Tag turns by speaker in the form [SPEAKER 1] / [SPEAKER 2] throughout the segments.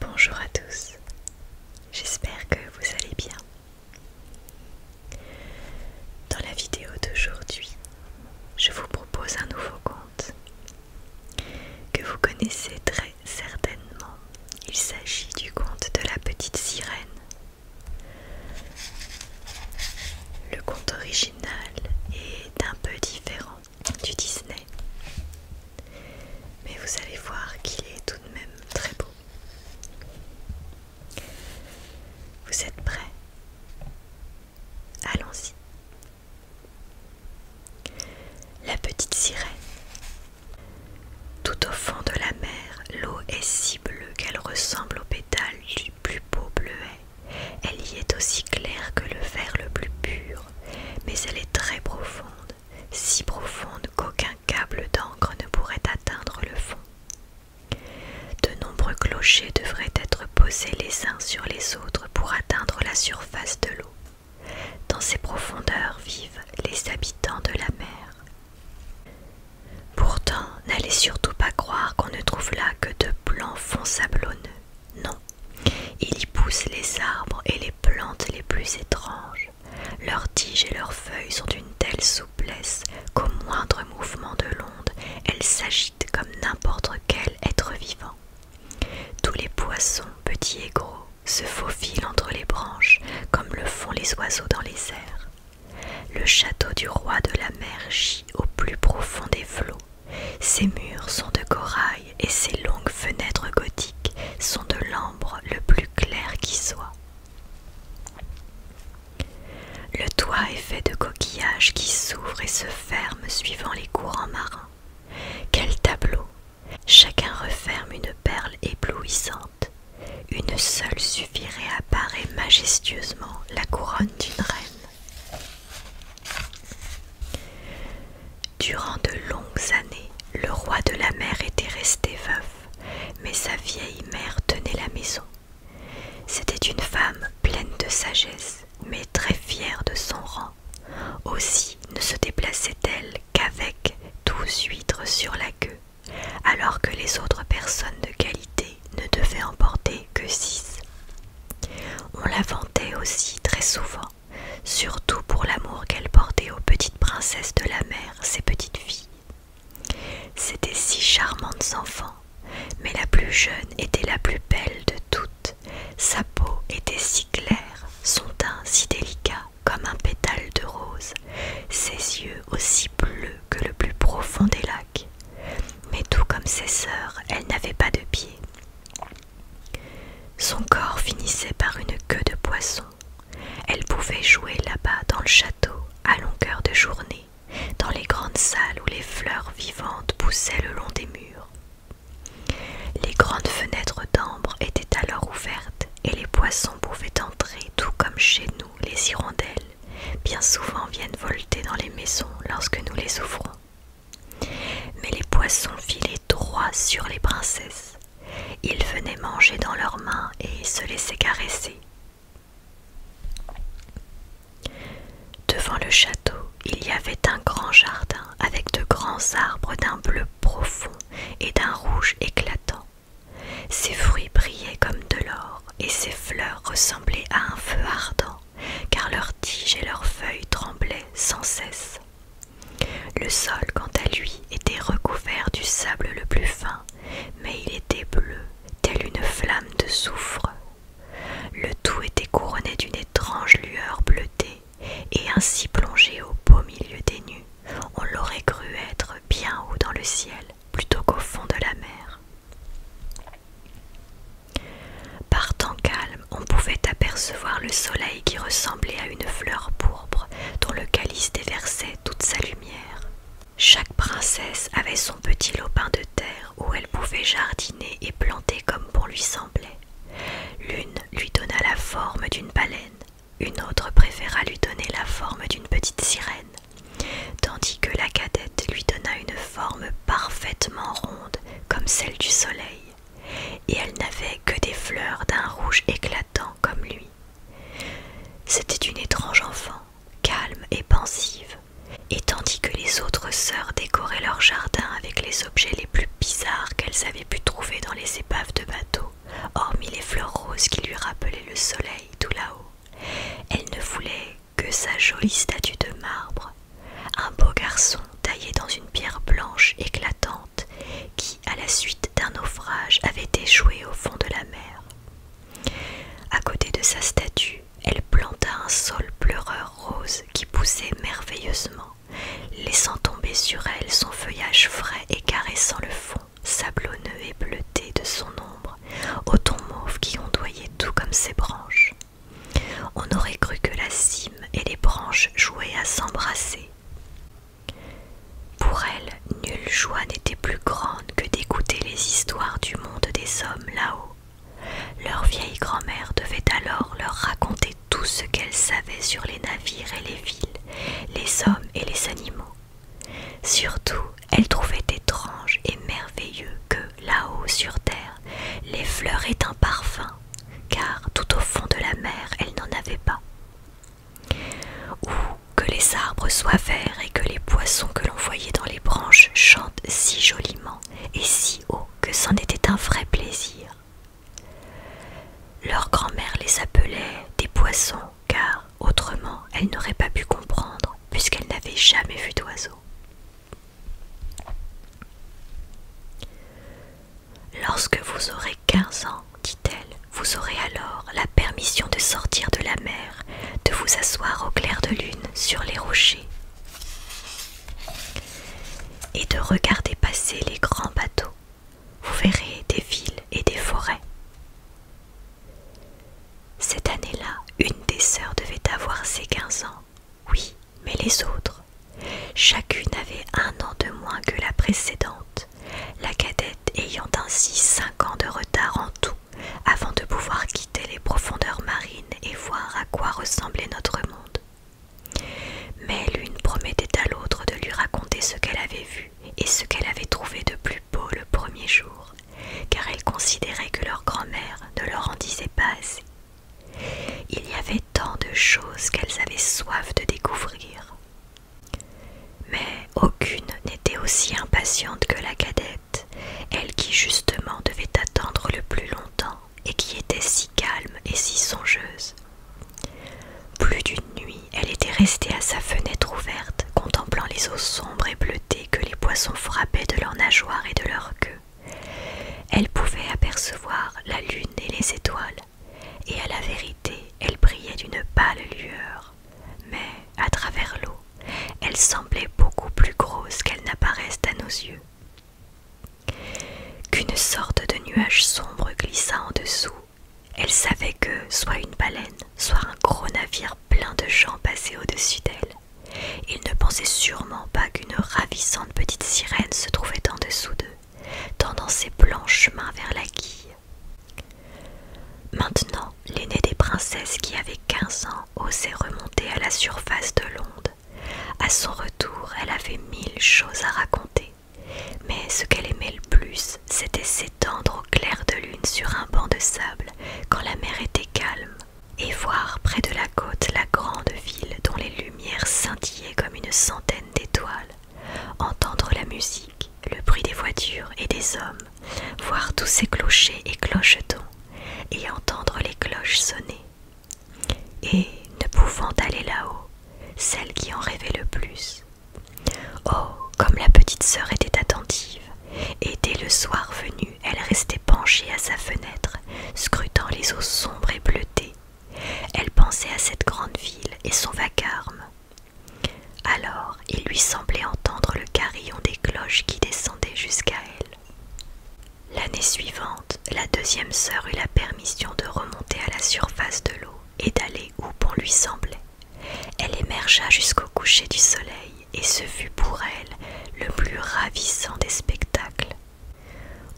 [SPEAKER 1] Bonjour à tous, j'espère que vous allez bien. Dans la vidéo d'aujourd'hui, je vous propose un nouveau conte que vous connaissez très certainement. Il s'agit du conte de la petite sirène. Le conte original est un peu différent du Disney. Mais vous allez voir qu'il est tout de même très beau. Vous êtes prêts Allons-y. La petite sirène. Tout au fond de la mer, l'eau est si bleue qu'elle ressemble aux pétales du plus beau bleuet. Elle y est aussi claire que le vert le plus pur, mais elle est très profonde, si profonde qu'aucun câble d'encre ne pourrait atteindre le fond. De nombreux clochers devraient être posés les uns sur les autres pour atteindre la surface de l'eau. Dans ces profondeurs vivent les habitants de la mer. Pourtant, n'allez surtout pas croire qu'on ne trouve là que de blancs fonds sablonneux. Non, il y pousse les arbres et les plantes les plus étranges. Leurs tiges et leurs feuilles sont d'une telle souplesse qu'au moindre mouvement de l'onde, elles s'agitent comme n'importe quel être vivant. Tous les poissons, petits et gros, se faufilent entre les branches comme le font les oiseaux dans les airs. Le château du roi de la mer gît au plus profond des flots. Ses murs sont de corail et ses longues fenêtres gothiques sont de l'ambre le plus clair qui soit. Le toit est fait de coquillages qui s'ouvrent et se ferment suivant les courants marins. Quel tableau Chacun referme une perle éblouissante. Une seule suffirait à parer majestueusement la couronne d'une reine. Durant de longues années, le roi de la mer était resté veuf, mais sa vieille mère tenait la maison. C'était une femme pleine de sagesse, mais très fière de son rang. Aussi ne se déplaçait-elle qu'avec douze huîtres sur la queue, alors que les autres personnes de qualité ne devaient emporter que six. On la vantait aussi très souvent surtout pour l'amour qu'elle portait aux petites princesses de la mer, ses petites filles. C'étaient si charmantes enfants, mais la plus jeune était la plus belle de toutes. Sa peau était si claire, son teint si délicat comme un pétale de rose, ses yeux aussi bleus que le plus profond des lacs. Mais tout comme ses sœurs, elle n'avait pas de pied son corps finissait par une queue de poisson. Elle pouvait jouer là-bas dans le château à longueur de journée, dans les grandes salles où les fleurs vivantes poussaient le long des murs. Les grandes fenêtres d'ambre étaient alors ouvertes et les poissons pouvaient entrer tout comme chez nous les hirondelles, bien souvent viennent volter dans les maisons lorsque nous les ouvrons. Mais les poissons filaient droit sur les princesses. Ils venaient manger dans leurs mains et se laissaient caresser. Devant le château, il y avait un grand jardin avec de grands arbres d'un bleu profond et d'un rouge éclatant. Ses fruits brillaient comme de l'or et ses fleurs ressemblaient à un feu ardent, car leurs tiges et leurs feuilles tremblaient sans cesse. Le sol, quant à lui, était recouvert du sable le plus fin, mais il était bleu, tel une flamme de soufre. Le tout était couronné d'une étrange lueur bleutée, et ainsi plongé au beau milieu des nues, on l'aurait cru être bien haut dans le ciel, plutôt qu'au fond de la mer. Par calme, on pouvait apercevoir le soleil qui ressemblait à une fleur pourpre dont le calice déversait toute sa lumière. Chaque princesse avait son petit lopin de terre où elle pouvait jardiner et planter comme pour lui semblait. L'une lui donna la forme d'une baleine, une autre préféra lui donner la forme d'une petite sirène, tandis que la cadette lui donna une forme parfaitement ronde comme celle du soleil et elle n'avait que des fleurs d'un rouge éclatant comme lui. C'était une étrange enfant, calme et pensive, et tandis que les autres sœurs décoraient leur jardin avec les objets les plus bizarres qu'elles avaient pu trouver dans les épaves de bateaux, hormis les fleurs roses qui lui rappelaient le soleil tout là-haut, elle ne voulait que sa jolie statue de marbre, un beau garçon Taillée dans une pierre blanche éclatante qui, à la suite d'un naufrage, avait échoué au fond de la mer. À côté de sa statue, elle planta un sol pleureur rose qui poussait merveilleusement, laissant tomber sur elle son feuillage frais et caressant le fond sablonneux et bleuté de son ombre, Au ton mauve qui ondoyait tout comme ses branches. On aurait cru que la cime et les branches jouaient à s'embrasser pour elle, nulle joie n'était plus grande que d'écouter les histoires du monde des hommes là-haut. Leur vieille grand-mère devait alors leur raconter tout ce qu'elle savait sur les navires et les villes, les hommes et les animaux. Surtout, elle trouvait étrange et merveilleux que, là-haut sur terre, les fleurs aient un parfum car tout au fond de la mer elle n'en avait pas. Ou que les arbres soient verts et que les poissons que l'on voyait dans les branches chantent si joliment et si haut que c'en était un vrai plaisir. Leur grand-mère les appelait des poissons, car autrement elle n'aurait pas pu comprendre, puisqu'elle n'avait jamais vu d'oiseaux Lorsque vous aurez quinze ans, dit-elle, vous aurez alors la permission de sortir de la mer, de vous asseoir au clair de lune sur les rochers et de regarder passer les grands bateaux. Vous verrez des villes et des forêts. Cette année-là, une des sœurs devait avoir ses quinze ans. Oui, mais les autres. Chacune avait un an de moins que la précédente, la cadette ayant ainsi cinq ans de retard en tout avant de pouvoir quitter les profondeurs marines et voir à quoi ressemblait notre monde. Mais l'une promettait à l'autre de lui raconter ce qu'elle avait vu et ce qu'elle avait trouvé de plus beau le premier jour, car elle considérait que leur grand-mère ne leur en disait pas assez. Il y avait tant de choses qu'elles avaient soif de découvrir. Mais aucune n'était aussi impatiente que la cadette, elle qui justement devait attendre le plus longtemps et qui était si calme et si songeuse. Plus d'une nuit, elle était restée à sa fenêtre ouverte, contemplant les eaux sombres et bleutées que les poissons frappaient de leurs nageoires et de leurs queues. Elle pouvait apercevoir la lune et les étoiles, et à la vérité elle brillait d'une pâle lueur, mais à travers l'eau, elle semblait beaucoup plus grosse qu'elle n'apparaisse à nos yeux. Qu'une sorte de nuage sombre glissa en dessous, elle savait que soit une baleine, soit un gros navire plein de gens passait au-dessus d'elle. Il ne pensait sûrement pas qu'une ravissante petite sirène se trouvait en dessous d'eux tendant ses blanches mains vers la guille. Maintenant, l'aînée des princesses qui avait quinze ans osait remonter à la surface de l'onde. À son retour, elle avait mille choses à raconter, mais ce qu'elle aimait le plus, c'était s'étendre au clair de lune sur un banc de sable quand la mer était calme, et voir près de la côte la grande ville dont les lumières scintillaient comme une centaine d'étoiles, entendre la musique, le bruit des voitures et des hommes, voir tous ces clochers et clochetons, et entendre les cloches sonner. Et, ne pouvant aller là-haut, celle qui en rêvait le plus. Oh, comme la petite sœur était attentive, et dès le soir venu, elle restait penchée à sa fenêtre, scrutant les eaux sombres et bleutées elle pensait à cette grande ville et son vacarme. Alors il lui semblait entendre le carillon des cloches qui descendait jusqu'à elle. L'année suivante, la deuxième sœur eut la permission de remonter à la surface de l'eau et d'aller où bon lui semblait. Elle émergea jusqu'au coucher du soleil et ce fut pour elle le plus ravissant des spectacles.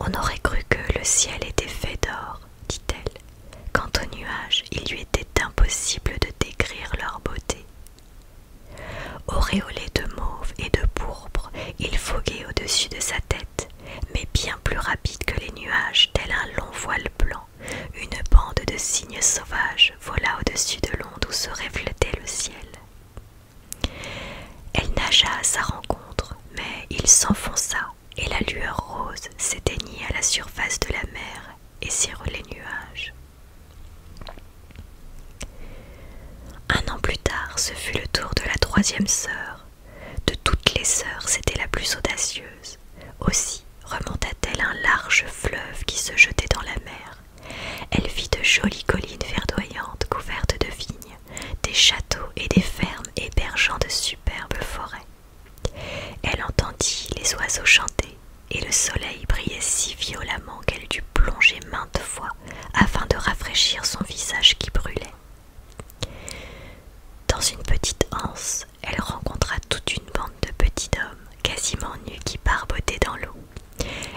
[SPEAKER 1] On aurait cru que le ciel était fait d'or, dit-elle. Quant aux nuages, il lui était impossible de décrire leur beauté. Auréolés de mauve et de pourpre, il foguait au-dessus de sa tête, mais bien plus rapide que les nuages, tel un long voile blanc, une bande de cygnes sauvages vola au-dessus de l'onde où se reflétait le ciel. Elle nagea à sa rencontre, mais il s'enfonça et la lueur rose s'éteignit à la surface de la mer et cirent les nuages. Un an plus tard, ce fut le tour de la troisième sœur. De toutes les sœurs, c'était la plus audacieuse. Aussi remonta-t-elle un large fleuve qui se jetait dans la mer. Elle vit de jolies collines verdoyantes couvertes de vignes des châteaux et des fermes hébergeant de superbes forêts. Elle entendit les oiseaux chanter, et le soleil brillait si violemment qu'elle dut plonger maintes fois afin de rafraîchir son visage qui brûlait. Dans une petite anse, elle rencontra toute une bande de petits hommes quasiment nus qui barbotaient dans l'eau.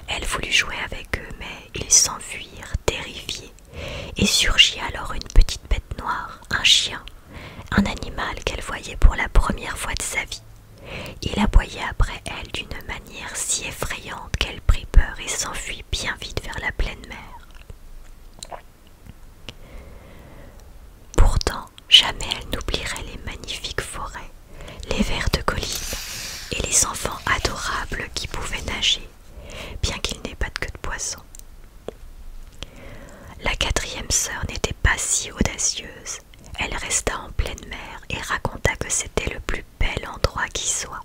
[SPEAKER 1] Elle voulut jouer avec eux, mais ils s'enfuirent, terrifiés, et surgit alors une petite bête noire, un chien, un animal qu'elle voyait pour la première fois de sa vie. Il aboya après elle d'une manière si effrayante qu'elle prit peur et s'enfuit bien vite vers la pleine mer. Pourtant, jamais elle n'oublierait les magnifiques forêts, les de collines et les enfants adorables qui pouvaient nager, bien qu'il n'ait pas de queue de poisson. La quatrième sœur n'était pas si audacieuse. Elle resta en pleine mer et raconta que c'était le plus bel endroit qui soit.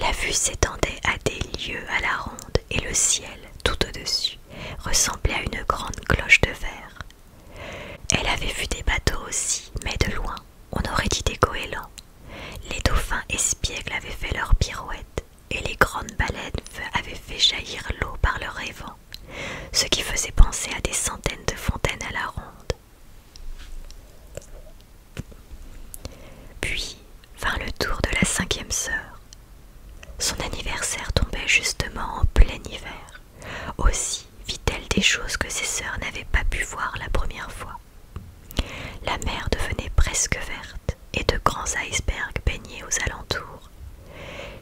[SPEAKER 1] La vue s'étendait à des lieues à la ronde et le ciel, tout au-dessus, ressemblait à une grande cloche de verre. Elle avait vu des bateaux aussi, mais de loin, on aurait dit des goélands. Les dauphins espiègles avaient fait leur pirouette et les grandes baleines avaient fait jaillir l'eau par le évent, ce qui faisait penser à des centaines de fontaines à la ronde. Puis vint le tour de la cinquième sœur. Son anniversaire tombait justement en plein hiver. Aussi vit-elle des choses que ses sœurs n'avaient pas pu voir la première fois. La mer devenait presque verte et de grands icebergs baignaient aux alentours.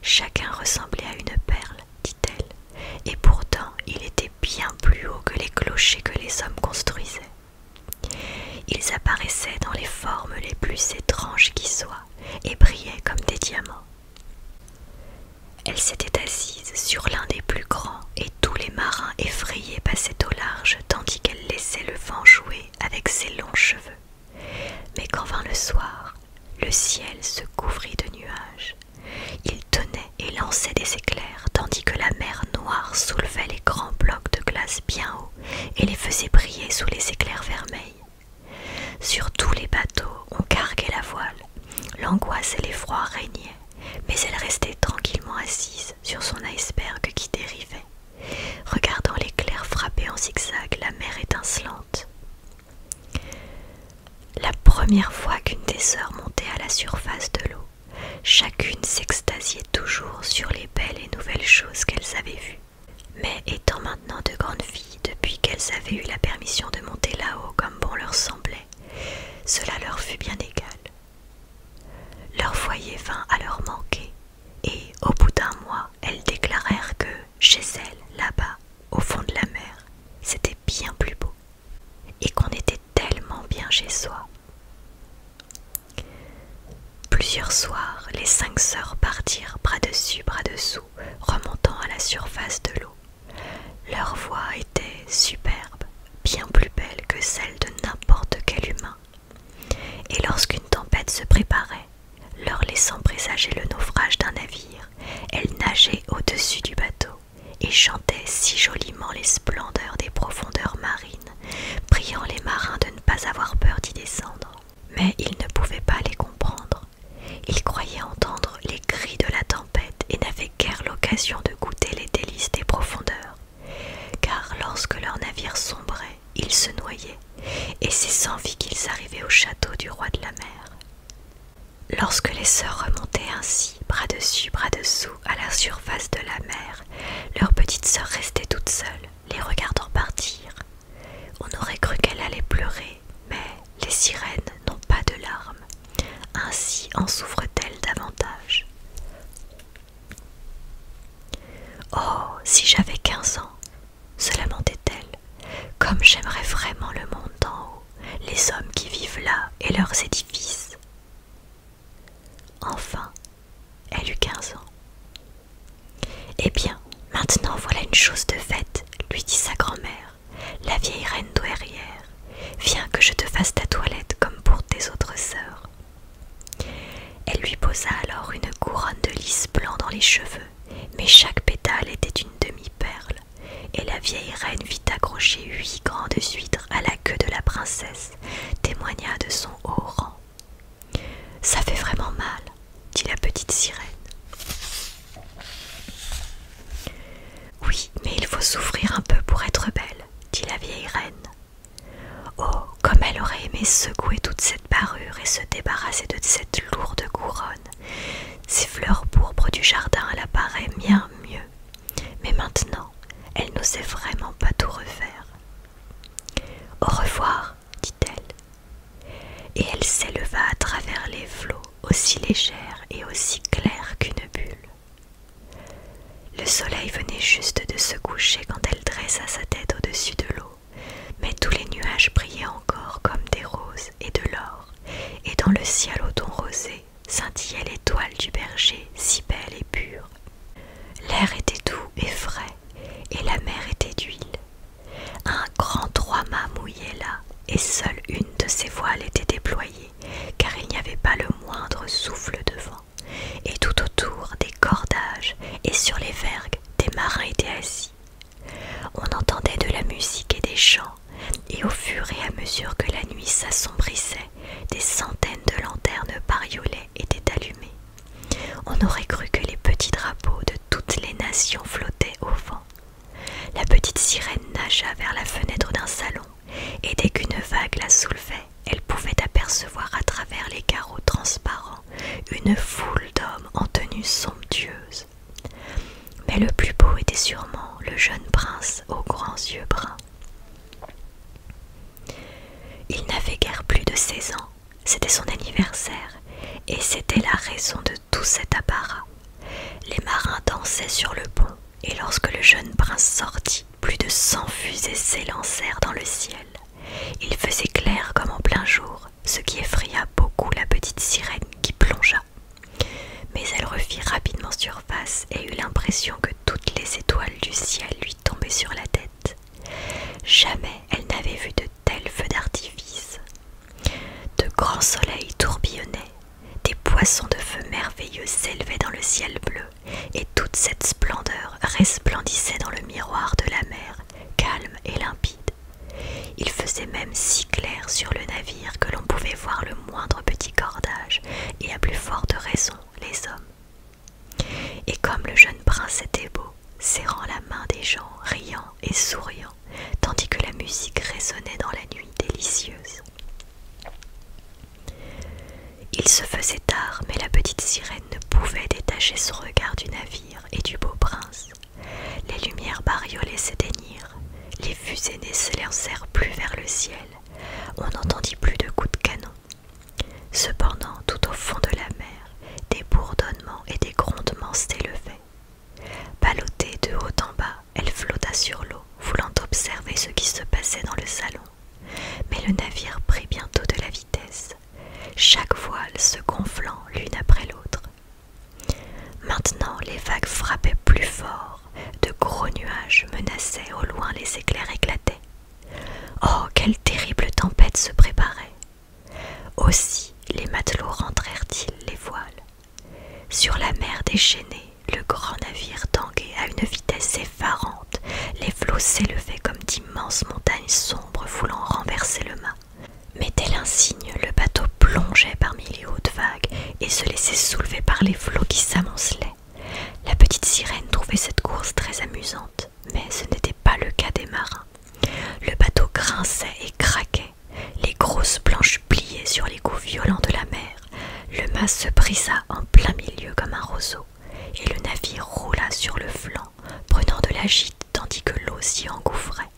[SPEAKER 1] Chacun ressemblait à une perle, dit-elle, et pourtant il était bien plus haut que les clochers que les hommes construisaient. Ils apparaissaient dans les formes les plus étranges qui soient et brillaient comme des diamants. Elle s'était assise sur l'un des plus grands et tous les marins effrayés passaient au large tandis qu'elle laissait le vent jouer avec ses longs cheveux. Mais quand vint le soir, le ciel se couvrit de nuages. Il tenait et lançait des éclairs, tandis que la mer noire soulevait les grands blocs de glace bien haut et les faisait briller sous les éclairs vermeils. Sur tous les bateaux, on carguait la voile. L'angoisse et l'effroi régnaient, mais elle restait tranquillement assise sur son iceberg qui dérivait regardant l'éclair frapper en zigzag la mer étincelante. La première fois qu'une des sœurs montait à la surface de l'eau, chacune s'extasiait toujours sur les belles et nouvelles choses qu'elles avaient vues. Mais étant maintenant de grandes filles depuis qu'elles avaient eu la permission de monter là-haut comme bon leur semblait, cela leur fut bien égal. Leur foyer vint à leur manquer, et au bout d'un mois, elles déclarèrent que chez elles, là-bas, au fond de la mer, c'était bien plus beau et qu'on était tellement bien chez soi. Plusieurs soirs, les cinq sœurs partirent bras dessus, bras dessous, remontant à la surface de l'eau. Leur voix était superbe, bien plus belle que celle de n'importe quel humain, et lorsqu'une tempête se préparait, leur laissant présager le naufrage d'un navire, elle nageait au-dessus du bateau et chantait si joliment les splendeurs des profondeurs marines, priant les marins de ne pas avoir peur d'y descendre. Mais ils ne pouvaient pas les comprendre. Ils croyaient entendre les cris de la tempête et n'avaient guère l'occasion de goûter les délices des profondeurs car lorsque leur navire sombrait, ils se noyaient, et c'est sans vie qu'ils arrivaient au château du roi de la mer. Lorsque les sœurs remontaient ainsi, bras dessus, bras dessous, à la surface de la mer, leurs petite sœur restaient toutes seules, les regardant partir. On aurait cru qu'elles allait pleurer, mais les sirènes n'ont pas de larmes. Ainsi en souffrent-elles davantage. Oh, si j'avais quinze ans, se lamentait-elle, comme j'aimerais vraiment le monde d'en haut, les hommes qui vivent là et leurs édifices. Enfin, elle eut quinze ans. Eh bien, maintenant voilà une chose de faite, lui dit sa grand-mère, la vieille reine douairière. Viens que je te fasse ta toilette comme pour tes autres sœurs. Elle lui posa alors une couronne de lys blanc dans les cheveux, mais chaque pétale était une demi-perle, et la vieille reine vit accrocher huit grandes huîtres à la queue de la princesse, témoigna de son haut rang. Ça fait vraiment mal, dit la petite sirène. Oui, mais il faut souffrir un peu pour être belle, dit la vieille reine. Oh, comme elle aurait aimé secouer toute cette parure et se débarrasser de cette lourde couronne. Ces fleurs pourpres du jardin elle apparaît bien mieux. Mais maintenant, elle n'osait vraiment pas tout refaire. Au revoir, dit-elle. Et elle s'éleva à travers les flots, aussi légères et aussi claires qu'une bulle. Le soleil venait juste de se coucher quand elle dressa sa tête au-dessus de l'eau, mais tous les nuages brillaient encore comme des roses et de l'or, et dans le ciel au ton rosé scintillait l'étoile du berger si belle et pure. L'air était doux et frais, et la mer était d'huile. Un grand trois-mâts mouillait là, et seule une de ses voiles était déployée, car il n'y avait pas le moindre souffle de vent et tout autour des cordages et sur les vergues des marins étaient assis. On entendait de la musique et des chants, et au fur et à mesure que la nuit s'assombrissait, des centaines de lanternes et étaient allumées. On aurait cru que les petits drapeaux de toutes les nations flottaient au vent. La petite sirène nagea vers la fenêtre d'un salon, et dès qu'une vague la soulevait, elle pouvait apercevoir à travers les carreaux transparents une foule d'hommes en tenue somptueuse. Mais le plus beau était sûrement le jeune prince aux grands yeux bruns. Il n'avait guère plus de 16 ans, c'était son anniversaire, et c'était la raison de tout cet apparat. Les marins dansaient sur le pont, et lorsque le jeune prince sortit, plus de cent fusées s'élancèrent dans le ciel. Il faisait clair comme en plein jour, ce qui effraya beaucoup la petite sirène qui plongea. Mais elle refit rapidement surface et eut l'impression que toutes les étoiles du ciel lui tombaient sur la tête. Jamais elle n'avait vu de tels feux d'artifice. De grands soleils tourbillonnaient, des poissons de feu merveilleux s'élevaient dans le ciel bleu, et toute cette splendeur resplendissait dans le miroir de la mer, calme et limpide. Il faisait même si clair sur le navire que l'on pouvait voir le moindre petit cordage, et à plus forte raison les hommes. Et comme le jeune prince était beau, serrant la main des gens, riant et souriant, tandis que la musique résonnait dans la nuit délicieuse. Il se faisait tard, mais la petite sirène ne pouvait détacher son regard du navire et du beau prince. Les lumières bariolées s'éteignirent, les fusées lancèrent plus vers le ciel, on n'entendit plus de coups de canon. Cependant, tout au fond de la mer, des bourdonnements et des grondements s'élevaient. Balottée de haut en bas, elle flotta sur l'eau, voulant observer ce qui se passait dans le salon. Mais le navire prit bientôt de la vitesse chaque voile se gonflant l'une après l'autre. Maintenant les vagues frappaient plus fort, de gros nuages menaçaient, au loin les éclairs éclataient. Oh, quelle terrible tempête se préparait! Aussi les matelots rentrèrent-ils les voiles. Sur la mer déchaînée, le grand navire tanguait à une vitesse effarante les flots s'élevaient comme d'immenses montagnes sombres voulant renverser le mât. Mais tel un le bateau plongeait parmi les hautes vagues et se laissait soulever par les flots qui s'amoncelaient. La petite sirène trouvait cette course très amusante, mais ce n'était pas le cas des marins. Le bateau grinçait et craquait, les grosses planches pliaient sur les coups violents de la mer, le mât se brisa en plein milieu comme un roseau, et le navire roula sur le flanc prenant de la gîte tandis que l'eau s'y engouffrait.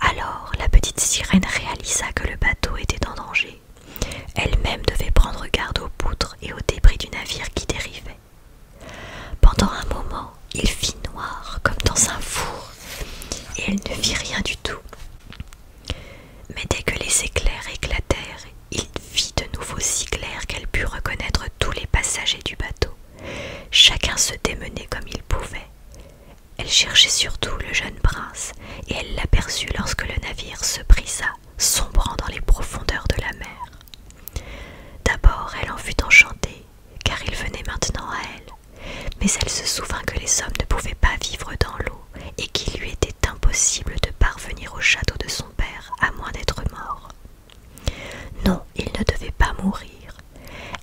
[SPEAKER 1] Alors la petite sirène réalisa que le bateau était en danger. Elle-même devait prendre garde aux poutres et aux débris du navire qui dérivait. Pendant un moment, il fit noir comme dans un four, et elle ne vit rien du tout. Mais dès que les éclairs éclatèrent il vit de nouveau si clair qu'elle put reconnaître tous les passagers du bateau. Chacun se démenait comme il pouvait. Elle cherchait surtout le jeune prince, et elle l'aperçut lorsque le navire se brisa, sombrant dans les profondeurs de la mer. D'abord elle en fut enchantée, car il venait maintenant à elle, mais elle se souvint que les hommes ne pouvaient pas vivre dans l'eau, et qu'il lui était impossible de parvenir au château de son père à moins d'être mort. Non, il ne devait pas mourir.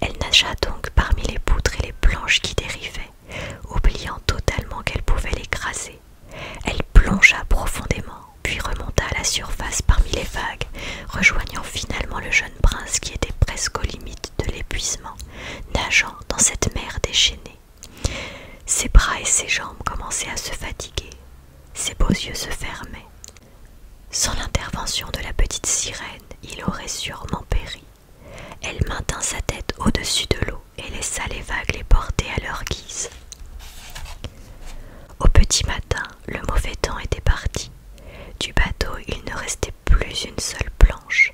[SPEAKER 1] Elle nagea donc parmi les poutres et les planches qui dérivaient, oubliant totalement qu'elle pouvait l'écraser. Elle plongea profondément, puis remonta à la surface parmi les vagues, rejoignant finalement le jeune prince qui était presque aux limites de l'épuisement, nageant dans cette mer déchaînée. Ses bras et ses jambes commençaient à se fatiguer, ses beaux yeux se fermaient. Sans l'intervention de la petite sirène, il aurait sûrement péri. Elle maintint sa tête au-dessus de l'eau et laissa les vagues les porter à leur guise. Au petit matin, le mauvais temps était parti. Du bateau, il ne restait plus une seule planche.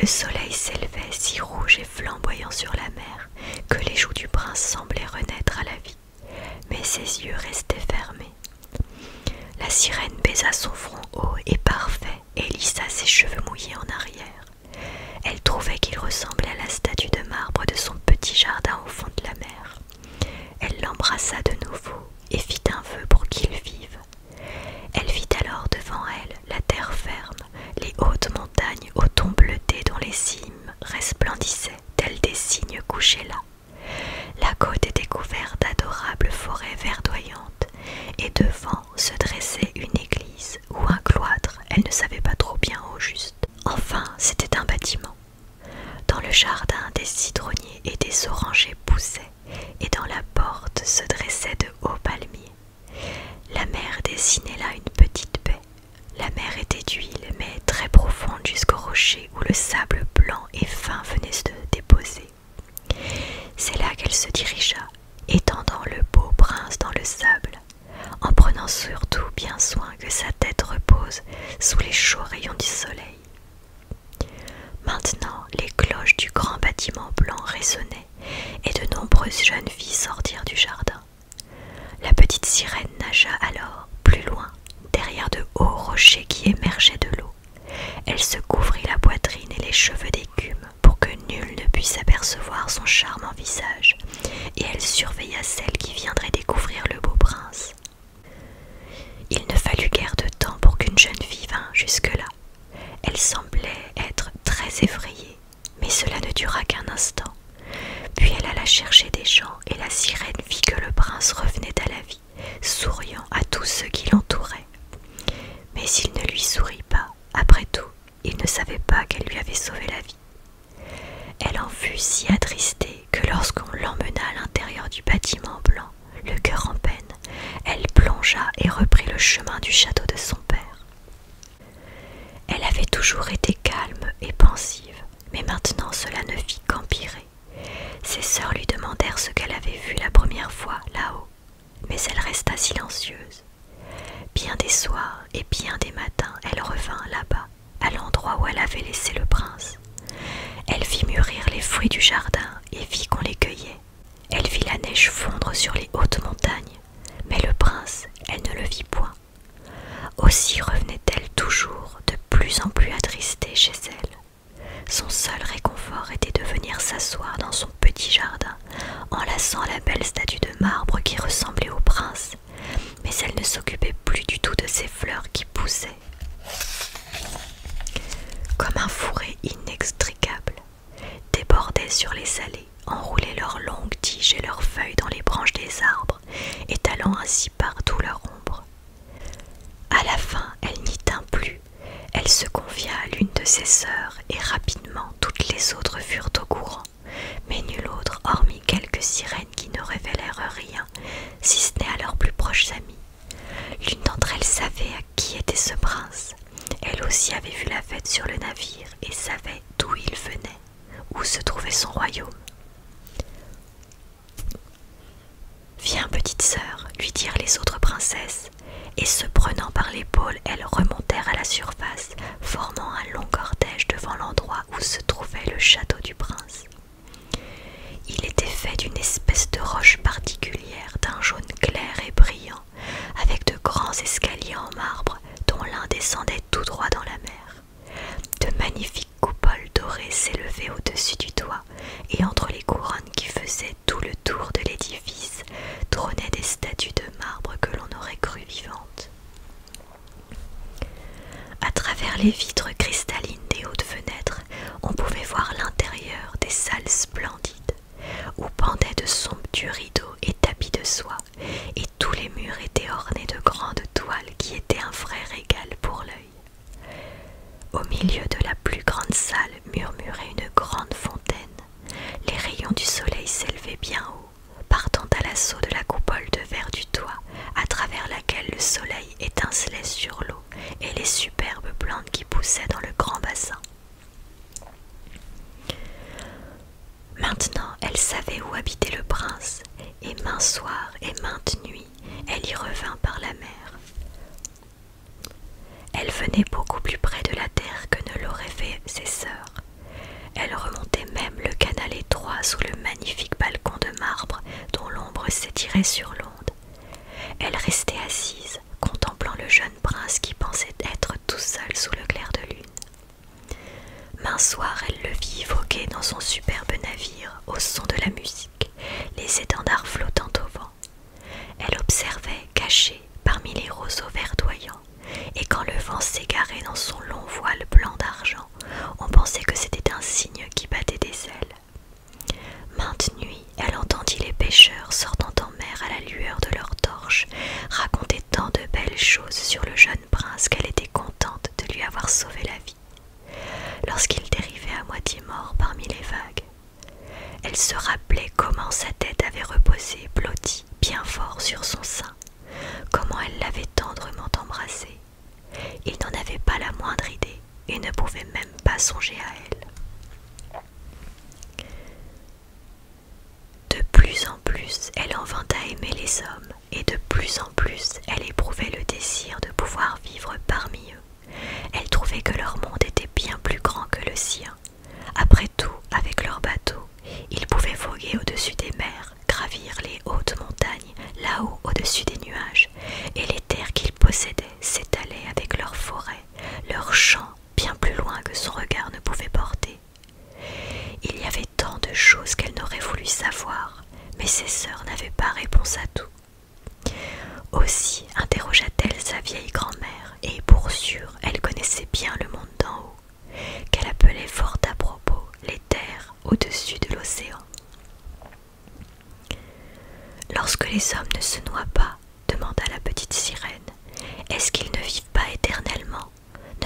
[SPEAKER 1] Le soleil s'élevait si rouge et flamboyant sur la mer que les joues du prince semblaient renaître à la vie mais ses yeux restaient fermés. La sirène baisa son front haut et parfait et lissa ses cheveux mouillés en arrière. Elle trouvait qu'il ressemblait à la statue de marbre de son petit jardin au fond de la mer. Elle l'embrassa de nouveau et fit un vœu pour qu'il vive. Elle vit alors devant elle la terre ferme, les hautes montagnes aux tons bleutés dans les cimes resplendissait, resplendissaient tels des cygnes couchés là. La côte était couverte d'adorables forêts verdoyantes, et devant se dressait une église ou un cloître, elle ne savait pas trop bien au juste. Enfin, c'était un bâtiment. Dans le jardin, des citronniers et des orangers poussaient, et dans la porte se dressaient de hauts palmiers. La mère dessinait là une petite baie, la mer était d'huile, mais très profonde jusqu'au rocher où le sable blanc et fin venait se déposer. C'est là qu'elle se dirigea, étendant le beau prince dans le sable, en prenant surtout bien soin que sa tête repose sous les chauds rayons du soleil. Maintenant, les cloches du grand bâtiment blanc résonnaient, et de nombreuses jeunes filles sortirent du jardin. La petite sirène nagea alors plus loin, derrière de hauts rochers qui émergeaient de l'eau. Elle se couvrit la poitrine et les cheveux d'écume pour que nul ne puisse apercevoir son charmant visage, et elle surveilla celle qui viendrait découvrir le beau prince. Il ne fallut guère de temps pour qu'une jeune fille vînt jusque-là. Elle semblait être très effrayée, mais cela ne dura qu'un instant. Puis elle alla chercher des gens, et la sirène vit que le prince revenait à la vie, souriant à tous ceux qui l'entouraient. Mais il ne lui sourit pas, après tout, il ne savait pas qu'elle lui avait sauvé la vie. Elle en fut si attristée que lorsqu'on l'emmena à l'intérieur du bâtiment blanc, le cœur en peine, elle plongea et reprit le chemin du château de son père. Elle avait toujours été calme et pensive, mais maintenant cela ne fit qu'empirer. Ses sœurs lui demandèrent ce qu'elle avait vu la première fois là-haut, mais elle resta silencieuse. Bien des soirs et bien des matins, elle revint là-bas, à l'endroit où elle avait laissé le prince. Elle vit mûrir les fruits du jardin et vit qu'on les cueillait. Elle vit la neige fondre sur les hautes montagnes, mais le prince, elle ne le vit point. Aussi revenait-elle toujours de plus en plus attristée chez elle. Son seul réconfort était de venir s'asseoir dans son petit jardin, enlaçant la belle statue de marbre qui ressemblait au prince, mais elle ne s'occupait plus du tout de ces fleurs qui poussaient. Comme un fourré inextricable, débordait sur les allées, enroulait leurs longues tiges et leurs feuilles dans les branches des arbres, étalant ainsi partout leur ombre. À la fin, elle n'y tint plus. Elle se confia à l'une de ses sœurs et rapidement toutes les autres furent au courant. Mais nul autre, hormis quelques sirènes qui ne révélèrent rien, si ce n'est à leurs plus proches amis. L'une d'entre elles savait à qui était ce prince. Elle aussi avait vu la fête sur le navire et savait d'où il venait où se trouvait son royaume. Viens, petite sœur, lui dirent les autres princesses, et se prenant par l'épaule, elles remontèrent à la surface, formant un long cortège devant l'endroit où se trouvait le château du prince. Il était fait d'une espèce de roche particulière, d'un jaune clair et brillant, avec de grands escaliers en marbre dont l'un descendait tout droit dans la mer. De magnifiques coupoles dorées s'élevaient au-dessus du toit, et entre les couronnes qui faisaient tout le tour de l'édifice trônaient des statues de marbre que l'on aurait crues vivantes. À travers les vitres cristallines des hautes fenêtres, on pouvait voir l'intérieur des salles splendides, où pendaient de somptueux rideaux et tapis de soie et tous les murs étaient ornés de grandes toiles qui étaient un vrai régal pour l'œil. Au milieu de la plus grande salle murmurait une grande fontaine. Les rayons du soleil s'élevaient bien haut, partant à l'assaut de la coupole de verre du toit, à travers laquelle le soleil étincelait sur l'eau et les superbes plantes qui poussaient dans le grand bassin. Maintenant, elle savait où habitait le prince et maint soir et maintes nuit, elle y revint par la mer. Elle venait beaucoup plus près de la terre que ne l'auraient fait ses sœurs. Elle remontait même le canal étroit sous le magnifique balcon de marbre dont l'ombre s'étirait sur l'onde. Elle restait assise, contemplant le jeune prince qui pensait être tout seul sous le clair de lune. Maint soir, elle le vit voguer dans son superbe navire au son de la musique, les étendards flottant au vent. Elle observait, cachée parmi les roseaux verdoyants, et quand le vent s'égarait dans son long voile blanc d'argent, on pensait que c'était un cygne qui battait des ailes. Mainte nuit, elle entendit les pêcheurs sortant en mer à la lueur de leurs torches raconter tant de belles choses sur le jeune prince qu'elle était contente de lui avoir sauvé la vie lorsqu'il dérivait à moitié mort parmi les vagues. Elle se rappelait comment sa tête avait reposé, blottie, bien fort sur son sein, comment elle l'avait tendrement embrassé. Il n'en avait pas la moindre idée et ne pouvait même pas songer à elle. De plus en plus, elle en vint à aimer les hommes, et de plus en plus elle éprouvait le désir de pouvoir vivre parmi eux. Elle trouvait que leur monde était bien plus grand que le sien. Après tout, avec leur bateau, ils pouvaient voguer au-dessus des mers, gravir les hautes montagnes, là-haut au-dessus des nuages, et les terres qu'ils possédaient s'étalaient avec leurs forêts, leurs champs, bien plus loin que son regard ne pouvait porter. Il y avait tant de choses qu'elle n'aurait voulu savoir, mais ses sœurs n'avaient pas réponse à tout. Aussi interrogea-t-elle sa vieille grand-mère, et pour sûr, elle connaissait bien le monde d'en haut, qu'elle appelait fort à propos les terres au-dessus de l'océan. Lorsque les hommes ne se noient pas, demanda la petite sirène, est-ce qu'ils ne vivent pas éternellement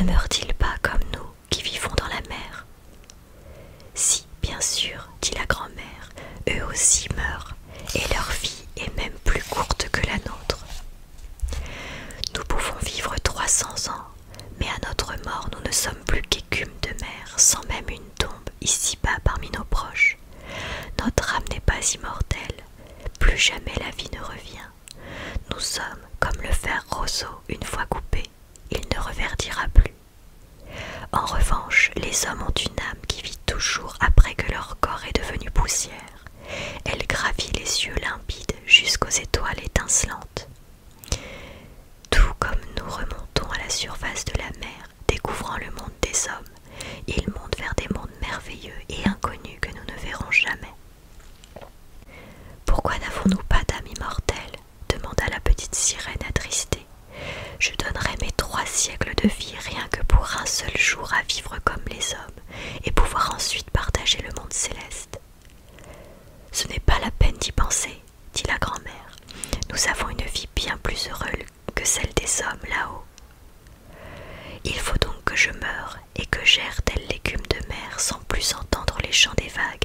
[SPEAKER 1] Ne meurent-ils pas comme nous qui vivons dans la mer. Si, bien sûr, dit la grand-mère, eux aussi meurent, et leur vie est même plus courte que la nôtre. Nous pouvons vivre 300 ans, mais à notre mort nous ne sommes plus qu'écume de mer, sans même une tombe ici-bas parmi nos proches. Notre âme n'est pas immortelle, plus jamais la vie ne revient. Nous sommes comme le fer roseau une fois coupé il ne reverdira plus. En revanche, les hommes ont une âme qui vit toujours après que leur corps est devenu poussière. Elle gravit les yeux limpides jusqu'aux étoiles étincelantes. Tout comme nous remontons à la surface de la mer, découvrant le monde des hommes, ils montent vers des mondes merveilleux et inconnus que nous ne verrons jamais. Pourquoi n'avons-nous pas d'âme immortelle demanda la petite sirène attristée. Je donnerais mes trois siècles de vie rien que pour un seul jour à vivre comme les hommes et pouvoir ensuite partager le monde céleste. Ce n'est pas la peine d'y penser, dit la grand-mère. Nous avons une vie bien plus heureuse que celle des hommes là-haut. Il faut donc que je meure et que j'erre tel légume de mer sans plus entendre les chants des vagues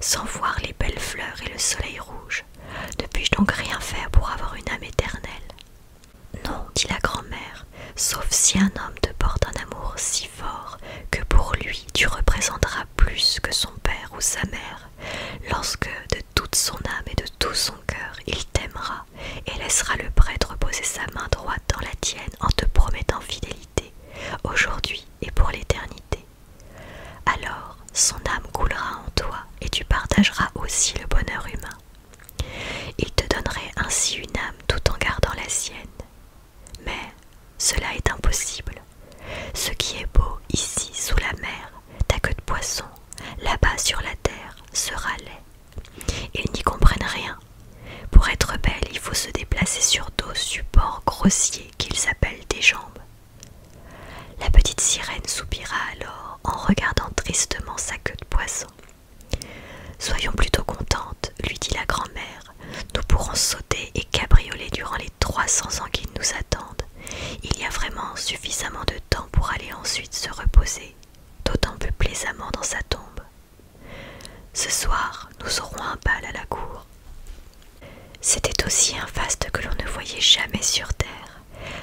[SPEAKER 1] sans voir les belles fleurs et le soleil rouge. Ne puis-je donc rien faire pour avoir une âme éternelle Non, dit la grand-mère, sauf si un homme te porte un amour si fort que pour lui tu représenteras plus que son père ou sa mère, lorsque de toute son âme et de tout son cœur il t'aimera et laissera le prêtre poser sa main droite dans la tienne en te promettant fidélité, aujourd'hui et pour l'éternité. Alors son âme coulera en toi et tu partageras aussi le bonheur humain. Il te donnerait ainsi une âme tout en gardant la sienne. Mais cela est impossible. Ce qui est beau ici sous la mer, ta queue de poisson, là-bas sur la terre, sera laid. Ils n'y comprennent rien. Pour être belle, il faut se déplacer sur deux supports grossiers qu'ils appellent des jambes. La petite sirène soupira alors en regardant tristement sa queue de poisson. Soyons plutôt contentes, lui dit la grand-mère. Nous pourrons sauter et cabrioler durant les trois cents ans qui nous attendent. Il y a vraiment suffisamment de temps pour aller ensuite se reposer, d'autant plus plaisamment dans sa tombe. Ce soir, nous aurons un bal à la cour. C'était aussi un faste que l'on ne voyait jamais sur terre.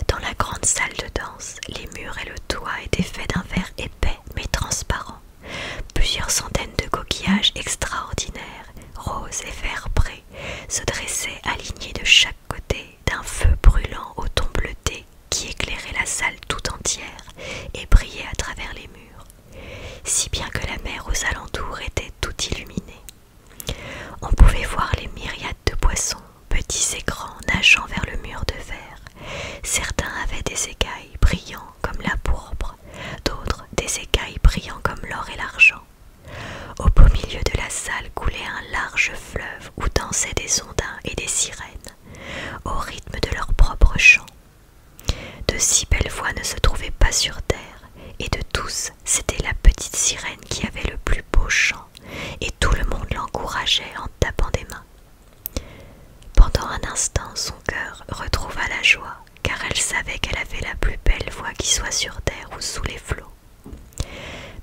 [SPEAKER 1] Dans la grande salle de danse, les murs et le toit étaient faits d'un verre épais mais transparent. Plusieurs centaines de coquillages extraordinaires, roses et verbrés se dressaient alignés de chaque côté d'un feu brûlant au ton bleuté qui éclairait la salle tout entière et brillait à travers les murs, si bien que la mer aux alentours était tout illuminée. On pouvait voir les myriades de poissons, petits et grands, nageant vers le mur de verre. Certains avaient des écailles brillants comme la pourpre, d'autres des écailles brillants comme l'or et l'argent. Au beau milieu de la salle coulait un large fleuve où dansaient des ondins et des sirènes, au rythme de leurs propres chants. De si belles voix ne se trouvaient pas sur terre, et de tous, c'était la petite sirène qui avait le plus beau chant, et tout le monde l'encourageait en tapant des mains. Pendant un instant, son cœur retrouva la joie, car elle savait qu'elle avait la plus belle voix qui soit sur terre ou sous les flots.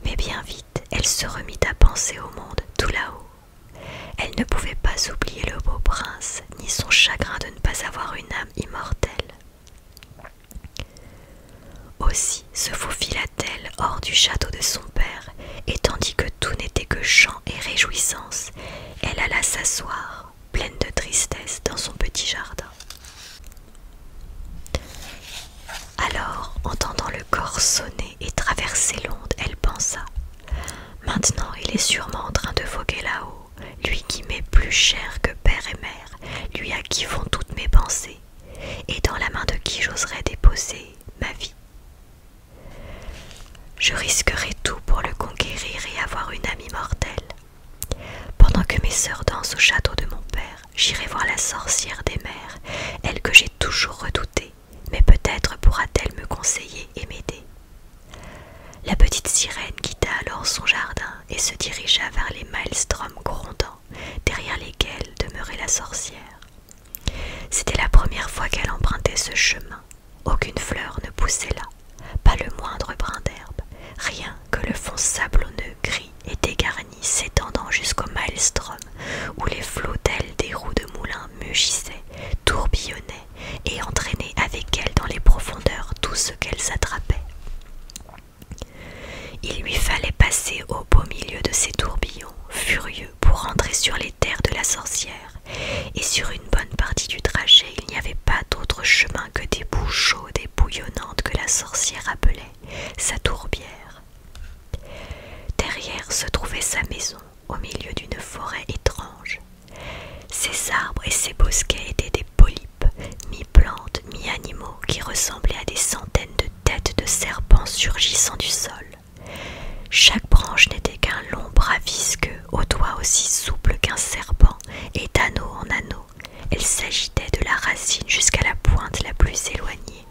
[SPEAKER 1] Mais bien vite, elle se remit à penser au monde tout là-haut. Elle ne pouvait pas oublier le beau prince, ni son chagrin de ne pas avoir une âme immortelle. Aussi se faufila-t-elle hors du château de son père, et tandis que tout n'était que chant et réjouissance, elle alla s'asseoir, pleine de tristesse, dans son petit jardin. Alors, entendant le corps sonner et traverser l'onde, elle pensa Maintenant, il est sûrement en train de voguer là-haut lui qui m'est plus cher que père et mère, lui à qui font toutes mes pensées, et dans la main de qui j'oserais déposer ma vie. Je risquerai tout pour le conquérir et avoir une amie mortelle Pendant que mes sœurs dansent au château de mon père, j'irai voir la sorcière des mers, elle que j'ai toujours redoutée, mais peut-être pourra-t-elle me conseiller et m'aider. La petite sirène quitta alors son jardin et se dirigea vers les maelstroms grondants, derrière lesquels demeurait la sorcière. C'était la première fois qu'elle empruntait ce chemin. Aucune fleur ne poussait là, pas le moindre brin d'herbe, rien que le fond sablonneux gris et dégarni s'étendant jusqu'au maelstrom, où les flots d'ailes des roues de moulins mugissaient, tourbillonnaient et entraînaient avec elle dans les profondeurs douces qu'elle s'attrapait. Il lui fallait passer au beau milieu de ces tourbillons furieux pour rentrer sur les terres de la sorcière, et sur une bonne partie du trajet il n'y avait pas d'autre chemin que des bouches chaudes et bouillonnantes que la sorcière appelait sa tourbière. Derrière se trouvait sa maison, au milieu d'une forêt étrange, ces arbres et ces bosquets étaient des polypes, mi-plantes, mi-animaux, qui ressemblaient à des centaines de têtes de serpents surgissant du sol. Chaque branche n'était qu'un long bras visqueux, aux doigts aussi souples qu'un serpent, et d'anneau en anneau, elle s'agitait de la racine jusqu'à la pointe la plus éloignée.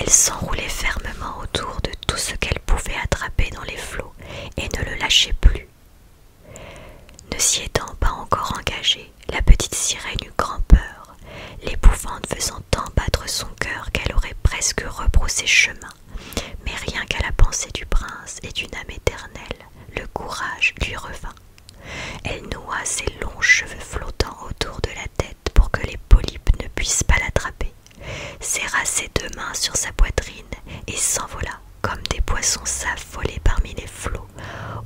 [SPEAKER 1] Elle s'enroulait fermement autour de tout ce qu'elle pouvait attraper dans les flots et ne le lâchait plus, ne s'y étant pas encore engagée, la petite sirène eut grand-peur, l'épouvante faisant tant battre son cœur qu'elle aurait presque rebroussé chemin. Mais rien qu'à la pensée du prince et d'une âme éternelle, le courage lui revint. Elle noua ses longs cheveux flottants autour de la tête pour que les polypes ne puissent pas l'attraper, serra ses deux mains sur sa poitrine et s'envola, comme des poissons s'affolaient parmi les flots,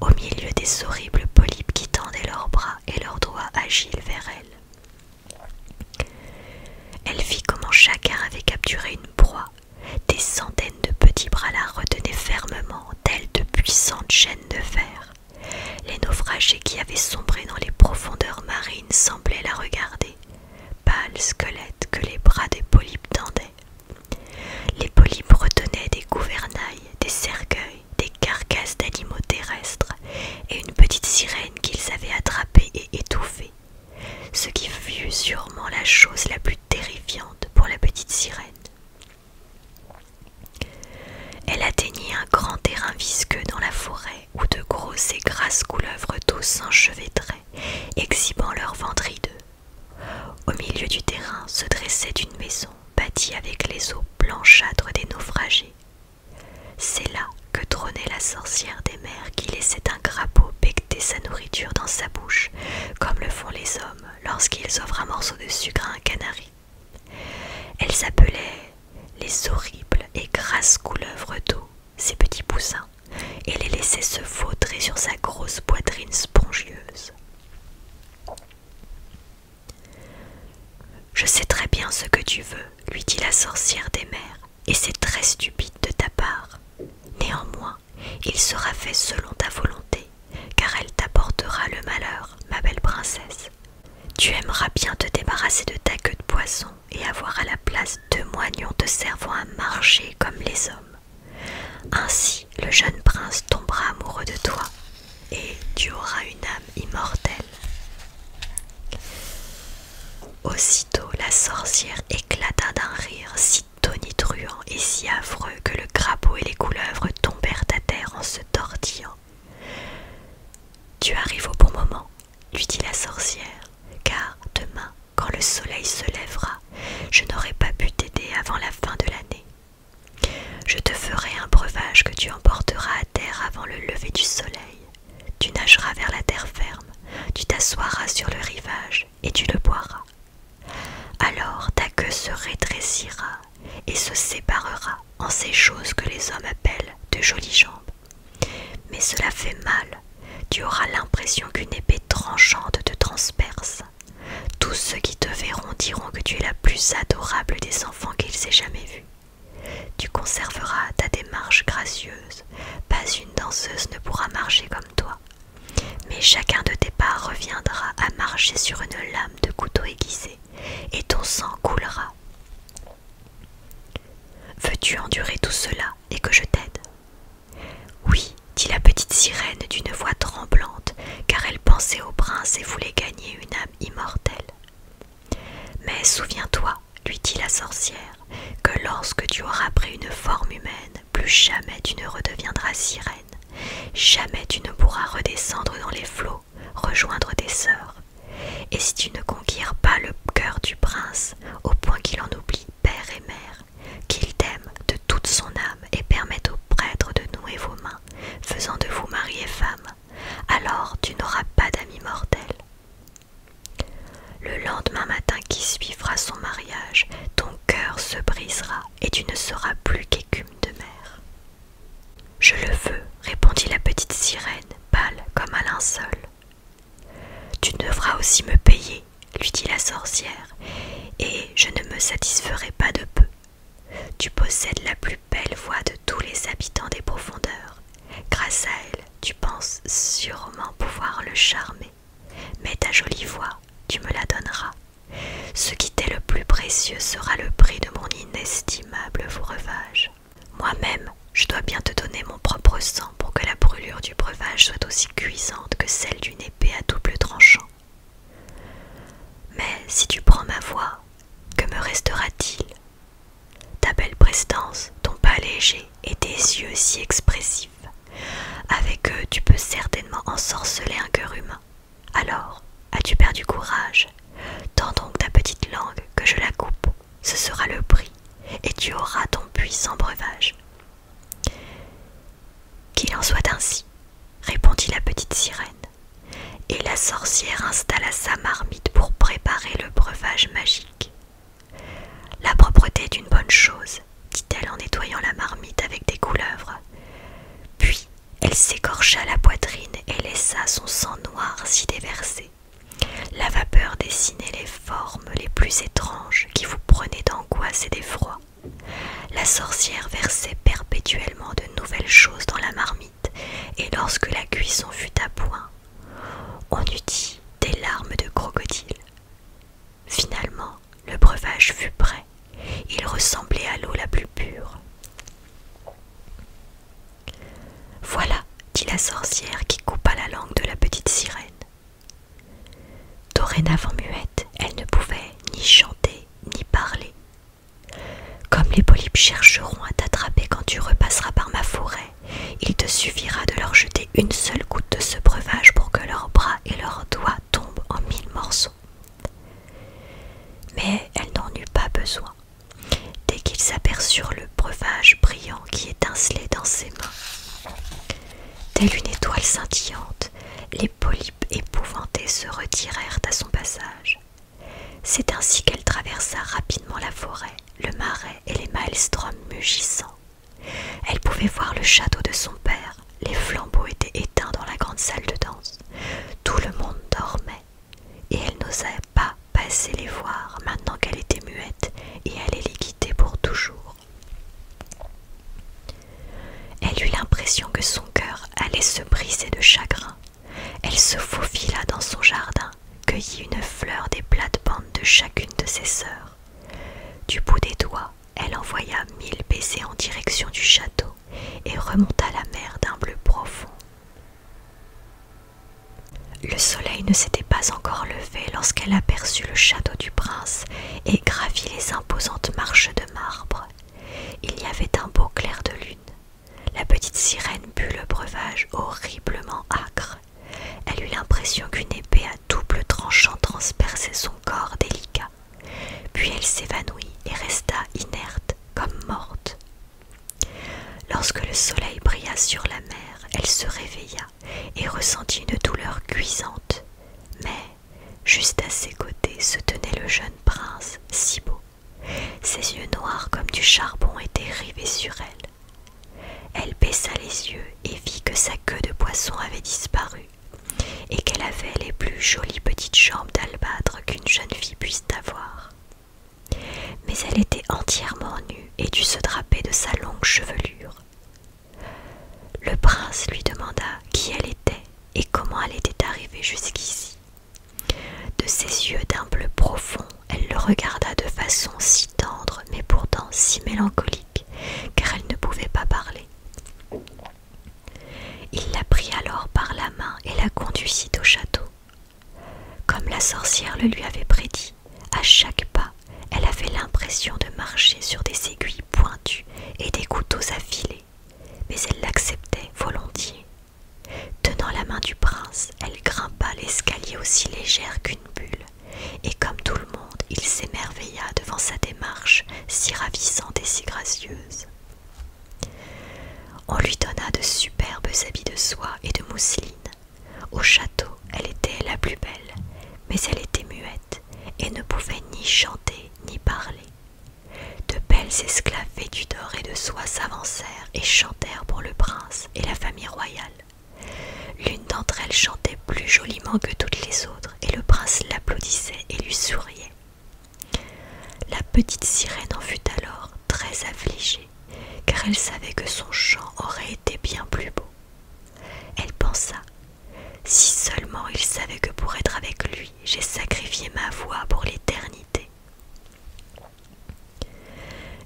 [SPEAKER 1] au milieu des horribles polypes qui tendaient leurs bras et leurs doigts agiles vers elle. Elle vit comment chacun avait capturé une proie. Des centaines de petits bras la retenaient fermement, telles de puissantes chaînes de fer. Les naufragés qui avaient sombré dans les profondeurs marines semblaient la regarder, pâles squelettes que les bras des polypes tendaient. Les polypes retenaient des gouvernails, des cercueils, des carcasses d'animaux terrestres et une petite sirène qu'ils avaient attrapée et étouffée, ce qui fut sûrement la chose la plus terrifiante pour la petite sirène. Elle atteignit un grand terrain visqueux dans la forêt où de grosses et grasses couleuvres tous s'enchevêtraient, exhibant leurs ventres au milieu du terrain se dressait une maison bâtie avec les eaux blanchâtres des naufragés. C'est là que trônait la sorcière des mers qui laissait un crapaud becter sa nourriture dans sa bouche, comme le font les hommes lorsqu'ils offrent un morceau de sucre à un canari. Elle s'appelait les horribles et grasses couleuvres d'eau, ces petits poussins et les laissait se fautrer sur sa grosse poitrine spongieuse. Je sais très bien ce que tu veux, lui dit la sorcière des mers, et c'est très stupide de ta part. Néanmoins, il sera fait selon ta volonté, car elle t'apportera le malheur, ma belle princesse. Tu aimeras bien te débarrasser de ta queue de poisson et avoir à la place deux moignons de servant à marcher comme les hommes. Ainsi le jeune prince tombera amoureux de toi et tu auras une âme immortelle. Aussitôt la sorcière éclata d'un rire si tonitruant et si affreux que le crapaud et les couleuvres tombèrent à terre en se tortillant. Tu arrives au bon moment, lui dit la sorcière, car demain quand le soleil se lèvera, je n'aurai pas pu t'aider avant la fin de l'année. Je te ferai un breuvage que tu emporteras à terre avant le lever du soleil. Tu nageras vers la terre ferme, tu t'assoiras sur le rivage et tu le boiras. Alors ta queue se rétrécira et se séparera en ces choses que les hommes appellent de jolies jambes. Mais cela fait mal tu auras l'impression qu'une épée tranchante te transperce. Tous ceux qui te verront diront que tu es la plus adorable des enfants qu'ils aient jamais vus. Tu conserveras ta démarche gracieuse, pas une danseuse ne pourra marcher comme toi. Mais chacun de tes pas reviendra à marcher sur une lame de couteau aiguisé, et ton sang coulera. Veux-tu endurer tout cela et que je t'aide oui, dit la petite sirène d'une voix tremblante, car elle pensait au prince et voulait gagner une âme immortelle. Mais souviens-toi, lui dit la sorcière, que lorsque tu auras pris une forme humaine, plus jamais tu ne redeviendras sirène, jamais tu ne pourras redescendre dans les flots, rejoindre tes sœurs. Et si tu ne conquiers pas le cœur du prince, au point qu'il en oublie père et mère, qu'il t'aime de toute son âme et permette au prêtres de nouer vos mains, faisant de vous mari et femme, alors tu n'auras pas d'ami mortel. Le lendemain matin qui suivra son mariage, ton cœur se brisera et tu ne seras plus qu'écume de mer. Je le veux, répondit la petite sirène, pâle comme un linceul. Tu devras aussi me payer lui dit la sorcière, et je ne me satisferai pas de peu. Tu possèdes la plus belle voix de tous les habitants des profondeurs. Grâce à elle, tu penses sûrement pouvoir le charmer. Mais ta jolie voix, tu me la donneras. Ce qui t'est le plus précieux sera le prix de mon inestimable breuvage. Moi-même, je dois bien te donner mon propre sang pour que la brûlure du breuvage soit aussi cuisante que celle d'une épée à double tranchant. Mais si tu prends ma voix, que me restera-t-il Ta belle prestance, ton pas léger et tes yeux si expressifs. Avec eux, tu peux certainement ensorceler un cœur humain. Alors, as-tu perdu courage Tends donc ta petite langue que je la coupe, ce sera le prix, et tu auras ton puissant breuvage. Qu'il en soit ainsi, répondit la petite sirène, et la sorcière installa sa marmite pour préparer le breuvage magique. La propreté est une bonne chose, dit-elle en nettoyant la marmite avec des couleuvres. Puis elle s'écorcha la poitrine et laissa son sang noir s'y déverser. La vapeur dessinait les formes les plus étranges qui vous prenaient d'angoisse et d'effroi. La sorcière versait perpétuellement de nouvelles choses dans la marmite, et lorsque la cuisson fut à point, on eût dit des larmes de crocodile. Finalement, le breuvage fut prêt. Il ressemblait à l'eau la plus pure. Voilà, dit la sorcière qui coupa la langue de la petite sirène. Dorénavant muette, elle ne pouvait ni chanter ni parler. Comme les polypes chercheront à t'attraper quand tu repasseras par ma forêt, il te suffira de leur jeter une seule goutte de ce breuvage pour que leurs bras et leurs doigts tombent en mille morceaux. Mais elle n'en eut pas besoin. Dès qu'ils aperçurent le breuvage brillant qui étincelait dans ses mains, Telle une étoile scintillante, les polypes épouvantés se retirèrent à son passage. C'est ainsi qu'elle traversa rapidement la forêt, le marais et les maelstroms mugissants. Elle pouvait voir le château de son père, les flambeaux étaient éteints dans la grande salle de danse, tout le monde dormait, et elle n'osait pas passer les voir maintenant qu'elle était muette et allait les quitter pour toujours. Elle eut l'impression que son cœur allait se briser de chagrin. Elle se faufila dans son jardin, cueillit une fleur des plates-bandes de chacune de ses sœurs. Du bout des doigts, elle envoya mille baisers en direction du château et remonta la mer d'un bleu profond. Le soleil ne s'était pas encore levé lorsqu'elle aperçut le château du prince et gravit les imposantes marches de marbre. Il y avait un beau clair de lune. La petite sirène but le breuvage horriblement âcre. Elle eut l'impression qu'une épée à double tranchant transperçait son corps délicat. Puis elle s'évanouit et resta inerte comme morte. Lorsque le soleil brilla sur la mer, elle se réveilla et ressentit une douleur cuisante. Mais Juste à ses côtés se tenait le jeune prince, si beau. Ses yeux noirs comme du charbon étaient rivés sur elle. Elle baissa les yeux et vit que sa queue de poisson avait disparu et qu'elle avait les plus jolies petites jambes d'albâtre qu'une jeune fille puisse avoir. Mais elle était entièrement nue et dut se draper de sa longue chevelure. Le prince lui demanda qui elle était et comment elle était arrivée jusqu'ici. De ses yeux d'un bleu profond, elle le regarda de façon si tendre mais pourtant si mélancolique, car elle ne pouvait pas parler. Il la prit alors par la main et la conduisit au château. Comme la sorcière le lui avait prédit, à chaque pas, elle avait l'impression de marcher sur des aiguilles et des couteaux affilés, mais elle l'acceptait volontiers. Tenant la main du prince, elle grimpa l'escalier aussi légère qu'une bulle, et comme tout le monde, il s'émerveilla devant sa démarche si ravissante et si gracieuse. On lui donna de superbes habits de soie et de mousseline. Au château, elle était la plus belle, mais elle était muette et ne pouvait ni chanter ni parler. De belles esclaves vêtues d'or et de soie s'avancèrent et chantèrent pour le prince et la famille royale. L'une d'entre elles chantait plus joliment que toutes les autres, et le prince l'applaudissait et lui souriait. La petite sirène en fut alors très affligée, car elle savait que son chant aurait été bien plus beau elle pensa Si seulement il savait que pour être avec lui, j'ai sacrifié ma voix pour l'éternité.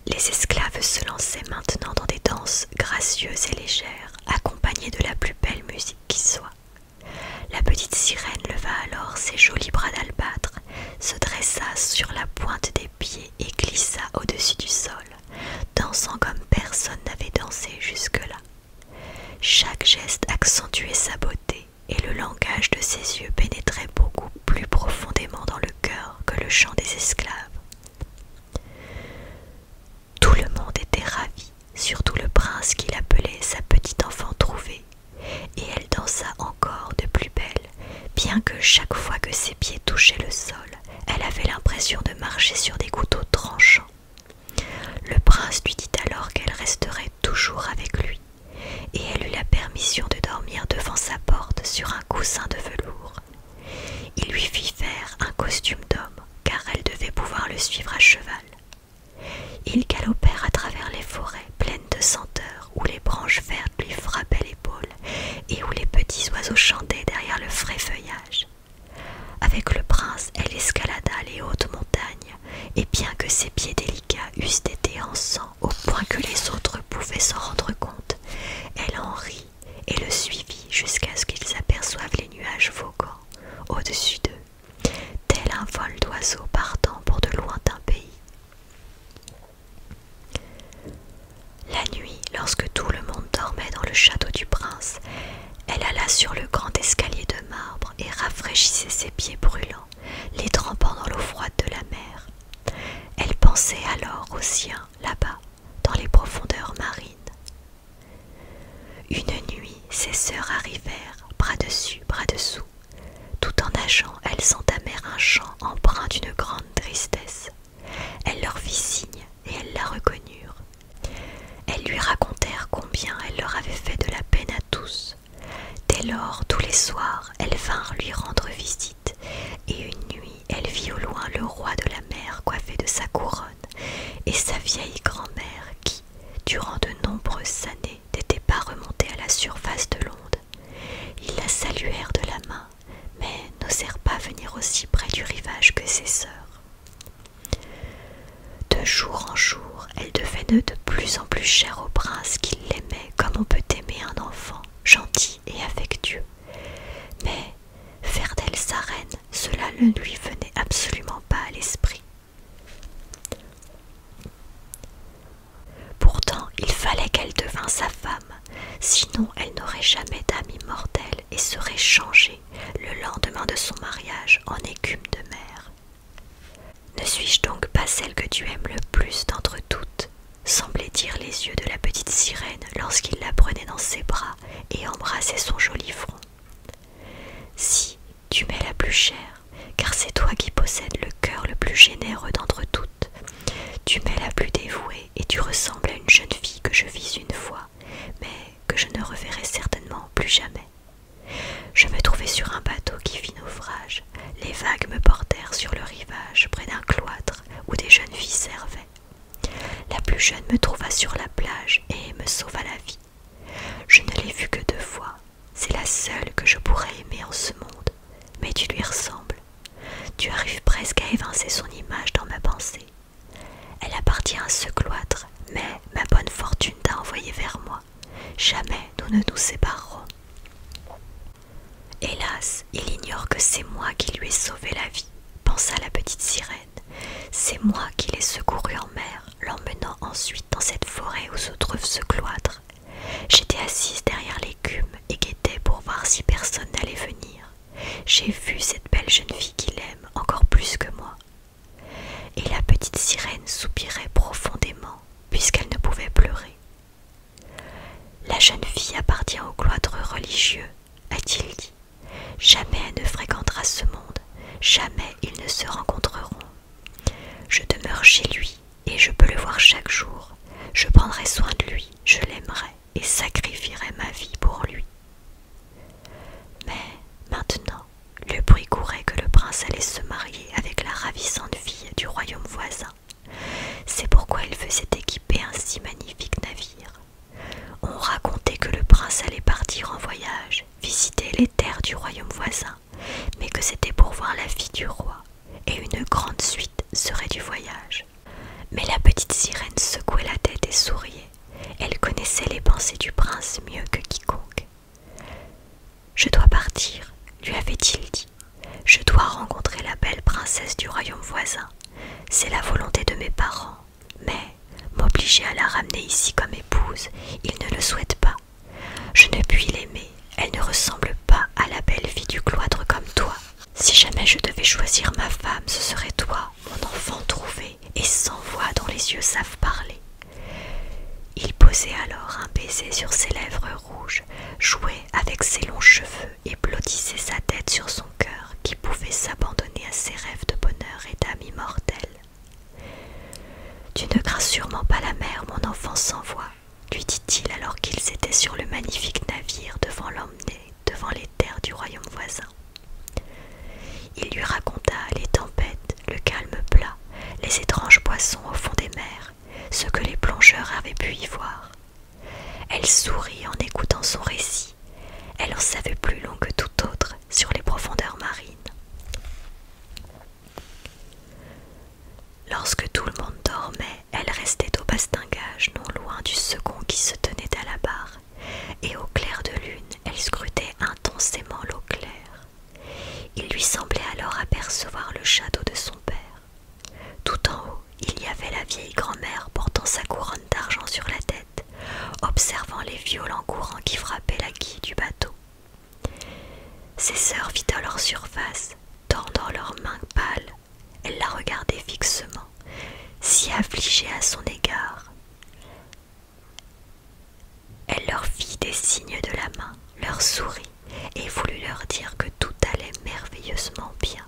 [SPEAKER 1] Les esclaves se lançaient maintenant dans des danses gracieuses et légères, accompagnées de la plus belle musique qui soit. La petite sirène leva alors ses jolis bras d'albâtre, se dressa sur la pointe des pieds et glissa au-dessus du sol, dansant comme personne n'avait dansé jusque-là. Chaque geste accentuait sa beauté, et le langage de ses yeux pénétrait beaucoup plus profondément dans le cœur que le chant des esclaves. Tout le monde était ravi, surtout le prince qu'il appelait sa petite enfant trouvée, et elle dansa encore de plus belle, bien que chaque fois que ses pieds touchaient le sol, elle avait l'impression de marcher sur des couteaux tranchants. Le prince lui dit alors qu'elle resterait toujours avec lui, et elle eut la permission de dormir devant sa porte sur un coussin de velours. Il lui fit faire un costume d'homme, car elle devait pouvoir le suivre à cheval. Ils galopèrent à travers les forêts pleines de senteurs, où les branches vertes lui frappaient l'épaule et où les petits oiseaux chantaient derrière le frais feuillage. Avec le prince, elle escalada les hautes montagnes, et bien que ses pieds délicats eussent été en sang au point que les autres pouvaient s'en rendre compte, elle en rit et le suivit jusqu'à ce qu'ils aperçoivent les nuages voguant au-dessus d'eux, tel un vol d'oiseaux partant pour de lointains pays. La nuit, lorsque tout le monde dormait dans le château du prince, elle alla sur le grand escalier de marbre et rafraîchissait ses pieds brûlants, les trempant dans l'eau froide de la mer. Elle pensait alors aux siens là-bas, dans les profondeurs marines. Une nuit, ses sœurs arrivèrent, bras dessus, bras dessous. Tout en nageant, elles entamèrent un chant empreint d'une grande tristesse. Elle leur fit signe et elles la reconnurent. Elles lui racontèrent combien elle leur avait fait de la peine à tous. Dès lors, tous les soirs, elles vinrent lui rendre visite, et une nuit, elle vit au loin le roi de la mer coiffé de sa couronne et sa vieille grand-mère qui, durant de nombreuses années, n'était pas remontée à la surface de l'onde. Ils la saluèrent de la main, mais n'osèrent pas venir aussi près du rivage que ses sœurs. De jour en jour, elle devenait de plus en plus chère au prince qui l'aimait comme on peut aimer un enfant, gentil et affectueux. Mais faire d'elle sa reine, cela ne lui venait absolument pas à l'esprit. Pourtant, il fallait qu'elle devînt sa femme, sinon elle n'aurait jamais d'âme immortelle et serait changée le lendemain de son mariage en écume de mer. Ne suis-je donc pas celle que tu aimes le plus d'entre toutes semblait dire les yeux de la petite sirène lorsqu'il la prenait dans ses bras et embrassait son joli front. Si, tu m'es la plus chère, car c'est toi qui possèdes le cœur le plus généreux d'entre toutes. Tu m'es la plus dévouée et tu ressembles à une jeune fille que je vis une fois mais que je ne reverrai certainement plus jamais. Je me trouvai sur un bateau qui fit naufrage. Les vagues me portèrent sur le rivage, près d'un cloître où des jeunes filles servaient. La plus jeune me trouva sur la plage et me sauva la vie. Je ne l'ai vue que deux fois. C'est la seule que je pourrais aimer en ce monde, mais tu lui ressembles. Tu arrives presque à évincer son image dans ma pensée. Elle appartient à ce cloître, mais ma bonne fortune t'a envoyé vers moi. Jamais nous ne nous séparerons. Hélas, il ignore que c'est moi qui lui ai sauvé la vie, pensa la petite sirène. C'est moi qui l'ai secouru en mer, l'emmenant ensuite dans cette forêt où se trouve ce cloître. J'étais assise derrière l'écume et guettais pour voir si personne n'allait venir. J'ai vu cette belle jeune fille qu'il aime encore plus que moi. Et la petite sirène soupirait profondément puisqu'elle ne pouvait pleurer. La jeune fille appartient au cloître religieux, a-t-il dit. Jamais elle ne fréquentera ce monde, jamais ils ne se rencontreront. Je demeure chez lui et je peux le voir chaque jour. Je prendrai soin de lui, je l'aimerai et sacrifierai ma vie pour lui. Mais maintenant, le bruit courait que le prince allait se marier avec la ravissante fille du royaume voisin. C'est pourquoi il faisait équiper un si magnifique navire. On racontait que le prince allait partir en voyage, visiter les terres du royaume voisin, mais que c'était pour voir la fille du roi, et une grande suite serait du voyage. Mais la petite sirène secouait la tête et souriait elle connaissait les pensées du prince mieux que quiconque. Je dois partir, lui avait-il dit. Je dois rencontrer la belle princesse du royaume voisin. C'est la volonté de mes parents. Mais m'obliger à la ramener ici comme épouse, ils ne le souhaitent pas. Je ne puis l'aimer, elle ne ressemble pas à la belle fille du cloître comme toi. Si jamais je devais choisir ma femme, ce serait toi, mon enfant trouvé et sans voix dont les yeux savent parler. Il posait alors un baiser sur ses lèvres rouges, jouait avec ses longs cheveux et blottissait sa tête sur son cœur qui pouvait s'abandonner à ses rêves de bonheur et d'âme immortelle. Tu ne crains sûrement pas la mer, mon enfant sans voix, lui dit-il alors qu'ils étaient sur le magnifique navire devant l'emmener devant les terres du royaume voisin. Il lui raconta les tempêtes, le calme plat, les étranges poissons au fond des mers, ce que les plongeurs avaient pu y voir. Elle sourit en écoutant son récit. Elle en savait plus long que tout autre sur les profondeurs marines. Lorsque tout le monde dormait, elle restait au bastingage, non loin du second qui se tenait à la barre et au clair de lune, elle scrutait intensément l'eau claire. Il lui semblait alors apercevoir le château de son père. Tout en haut, il y avait la vieille grand-mère portant sa couronne d'argent sur la tête, observant les violents courants qui frappaient la quille du bateau. Ses sœurs à leur surface, tendant leurs mains pâles. Elle la regardait fixement, si affligée à son égard. Elle leur fit des signes de la main, leur sourit et voulut leur dire que tout allait merveilleusement bien.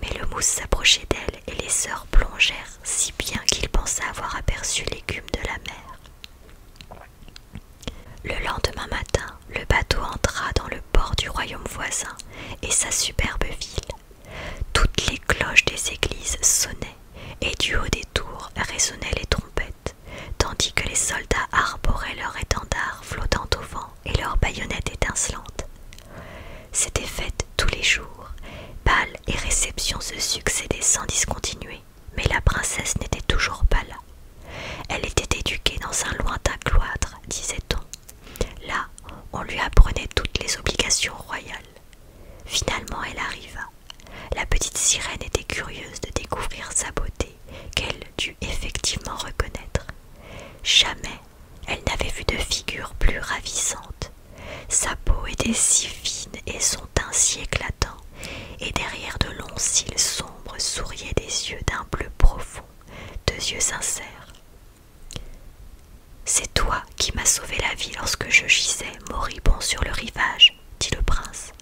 [SPEAKER 1] Mais le mousse s'approchait d'elle et les sœurs plongèrent si bien qu'il pensa avoir aperçu l'écume de la mer. Le lendemain matin, le bateau entra dans le port du royaume voisin et sa superbe ville. Toutes les cloches des églises sonnaient et du haut des tours résonnaient les trompettes, tandis que les soldats arboraient leurs étendards flottant au vent et leurs baïonnettes étincelantes. C'était fête tous les jours, bals et réceptions se succédaient sans discontinuer, mais la princesse n'était toujours pas là. Elle était éduquée dans un lointain cloître, disait-on. Là, on lui apprenait toutes les obligations royales. Finalement, elle arriva. La petite sirène était curieuse de découvrir sa beauté, qu'elle dut effectivement reconnaître. Jamais elle n'avait vu de figure plus ravissante. Sa peau était si fine et son teint si éclatant, et derrière de longs cils sombres souriaient des yeux d'un bleu profond, deux yeux sincères. C'est toi qui m'as sauvé la vie lorsque je gisais moribond sur le rivage, dit le prince.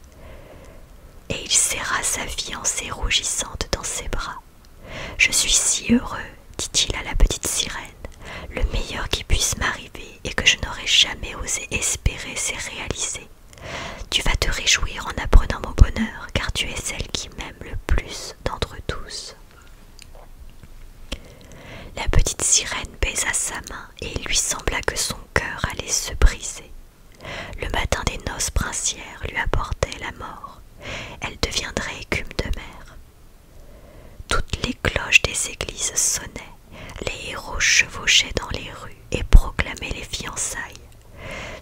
[SPEAKER 1] Et il serra sa fiancée rougissante dans ses bras. Je suis si heureux, dit-il à la petite sirène, le meilleur qui puisse m'arriver et que je n'aurais jamais osé espérer s'est réalisé. Tu vas te réjouir en apprenant mon bonheur, car tu es celle qui m'aime le plus d'entre tous. La petite sirène baisa sa main et il lui sembla que son cœur allait se briser. Le matin des noces princières lui apportait la mort. Elle deviendrait écume de mer. Toutes les cloches des églises sonnaient, les héros chevauchaient dans les rues et proclamaient les fiançailles.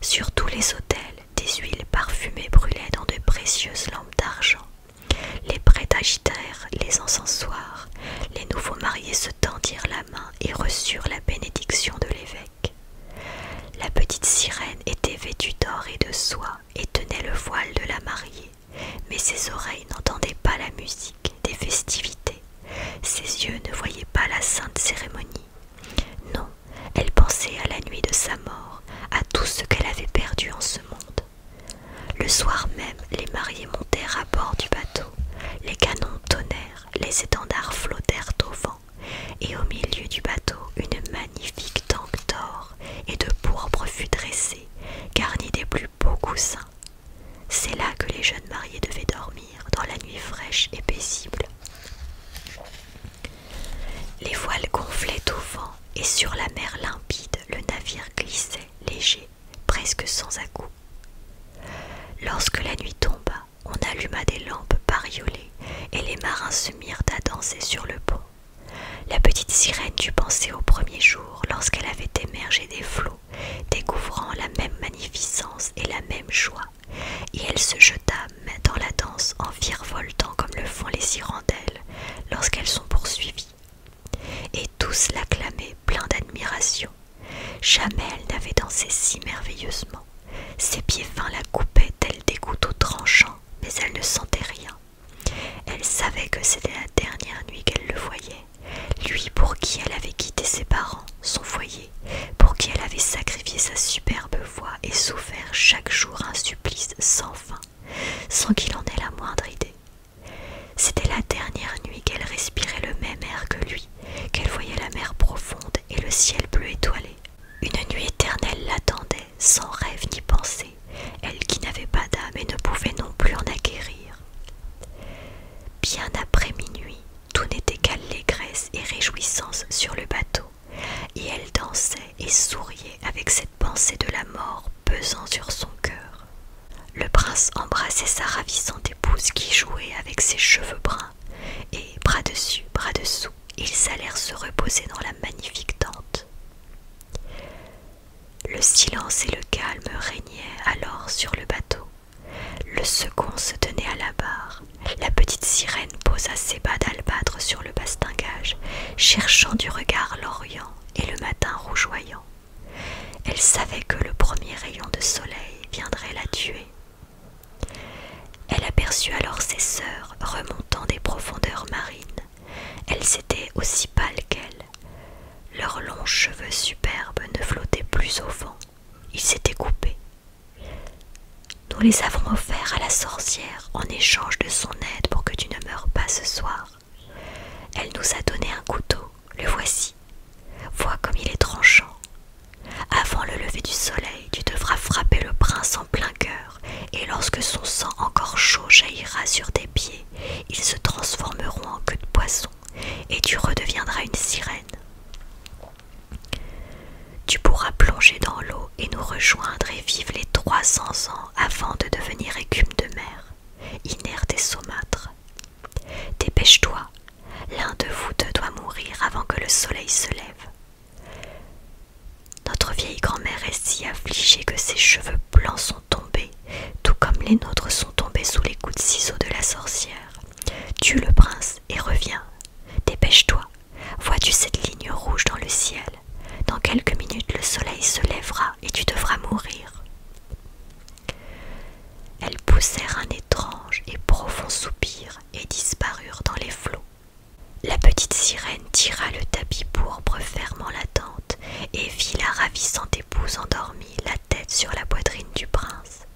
[SPEAKER 1] Sur tous les autels, des huiles parfumées brûlaient dans de précieuses lampes d'argent. Les prêtres agitèrent les encensoirs, les nouveaux mariés se tendirent la main et reçurent la bénédiction de l'évêque. La petite sirène était vêtue d'or et de soie et tenait le voile de la mariée, mais ses oreilles n'entendaient pas la musique des festivités, ses yeux ne voyaient pas la sainte cérémonie. Non, elle pensait à la nuit de sa mort, à tout ce qu'elle avait perdu en ce monde. Le soir même, les mariés montèrent à bord du bateau. Les canons tonnèrent, les étendards flottèrent au vent, et au milieu du bateau, une magnifique tanque d'or et de pourpre fut dressée, garnie des plus beaux coussins. C'est là que les jeunes mariés devaient dormir, dans la nuit fraîche et paisible. Les voiles gonflaient au vent, et sur la mer limpide, le navire glissait léger presque sans à coup Lorsque la nuit tomba, on alluma des lampes bariolées et les marins se mirent à danser sur le pont. La petite sirène dut penser au premier jour lorsqu'elle avait émergé des flots, découvrant la même magnificence et la même joie, et elle se jeta dans la danse en virevoltant comme le font les sirandelles lorsqu'elles sont poursuivies et tous l'acclamaient plein d'admiration. Jamais elle n'avait dansé si merveilleusement. Ses pieds fins la coupaient tel des couteaux tranchants, mais elle ne sentait rien. Elle savait que c'était la dernière nuit qu'elle le voyait, lui pour qui elle avait quitté ses parents, son foyer, pour qui elle avait sacrifié sa superbe voix et souffert chaque jour un supplice sans fin, sans qu'il en ait la moindre idée. C'était la dernière nuit qu'elle respirait le même air que lui, qu'elle voyait la mer profonde et le ciel bleu étoilé. Une nuit éternelle l'attendait, sans rêve ni pensée, elle qui n'avait pas d'âme et ne pouvait non plus en acquérir. Bien après minuit, tout n'était qu'allégresse et réjouissance sur le bateau, et elle dansait et souriait avec cette pensée de la mort pesant sur son cœur. Le prince embrassait sa ravissante épouse qui jouait avec ses cheveux bruns, et bras dessus, bras dessous, ils allèrent se reposer dans la magnifique tente. Le silence et le calme régnaient alors sur le bateau. Le second se tenait à la barre. La petite sirène posa ses bas d'albâtre sur le bastingage, cherchant du regard l'Orient et le matin rougeoyant. Elle savait que le premier rayon de soleil viendrait la tuer. Elle aperçut alors ses sœurs remontant des profondeurs marines. Elles étaient aussi pâles qu'elles. Leurs longs cheveux superbes ne flottaient plus au vent. Ils s'étaient coupés. Nous les avons offerts à la sorcière en échange de son aide pour que tu ne meures pas ce soir. Elle nous a donné un couteau, le voici. Vois comme il est tranchant. Avant le lever du soleil, tu devras frapper le prince en plein cœur, et lorsque son sang encore chaud jaillira sur tes pieds, ils se transformeront en queue de poisson, et tu redeviendras une sirène. Tu pourras plonger dans l'eau et nous rejoindre et vivre les trois cents ans avant de devenir écume de mer, inerte et saumâtre. Dépêche-toi, l'un de vous deux doit mourir avant que le soleil se lève. Notre vieille grand-mère est si affligée que ses cheveux blancs sont tombés, tout comme les nôtres sont tombés sous les coups de ciseaux de la sorcière. Tue le prince et reviens. Dépêche-toi. Vois-tu cette ligne rouge dans le ciel Dans quelques minutes le soleil se lèvera et tu devras mourir. Elles poussèrent un étrange et profond soupir et disparurent dans les flots. La petite sirène tira le tapis pourpre fermant la tente et vit la ravissante épouse endormie, la tête sur la poitrine du prince.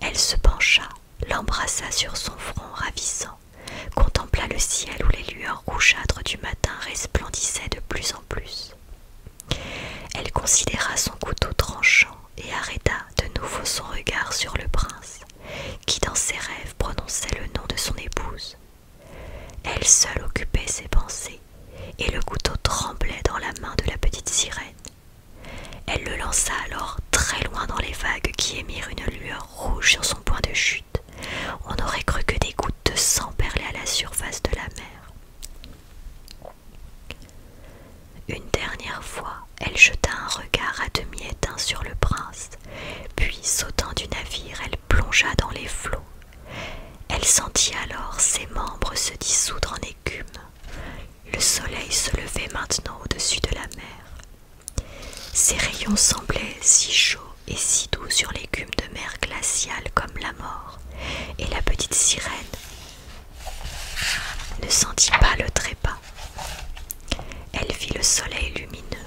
[SPEAKER 1] Elle se pencha, l'embrassa sur son front ravissant, contempla le ciel où les lueurs rougeâtres du matin resplendissaient de plus en plus. Elle considéra son couteau tranchant et arrêta de nouveau son regard sur le prince, qui dans ses rêves prononçait le nom de son épouse. Elle seule occupait ses pensées, et le couteau tremblait dans la main de la petite sirène. Elle le lança alors très loin dans les vagues qui émirent une lueur rouge sur son point de chute. On aurait cru que des gouttes de sang perlaient à la surface de la mer. Une dernière fois, elle jeta un regard à demi éteint sur le prince, puis sautant du navire, elle plongea dans les flots. Elle sentit alors ses membres se dissoudre en écume. Le soleil se levait maintenant au-dessus de la mer. Ses rayons semblaient si chauds et si doux sur l'écume de mer glaciale comme la mort et la petite sirène ne sentit pas le trépas. Elle vit le soleil lumineux,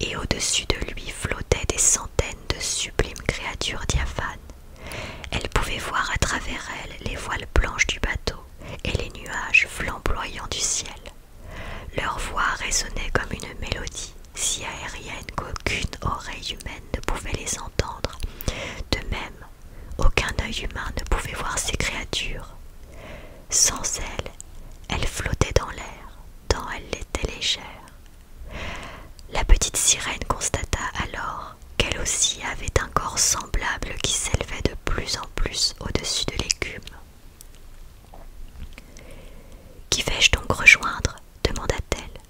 [SPEAKER 1] et au-dessus de lui flottaient des centaines de sublimes créatures diaphanes. Elle pouvait voir à travers elle les voiles blanches du bateau et les nuages flamboyants du ciel. Leur voix résonnait comme une mélodie si aérienne qu'aucune oreille humaine ne pouvait les entendre. De même, aucun œil humain ne pouvait voir ces créatures. Sans elles, elles flottaient dans l'air, tant elles étaient légères. La petite sirène constata alors qu'elle aussi avait un corps semblable qui s'élevait de plus en plus au-dessus de l'écume. Qui vais-je donc rejoindre demanda-t-elle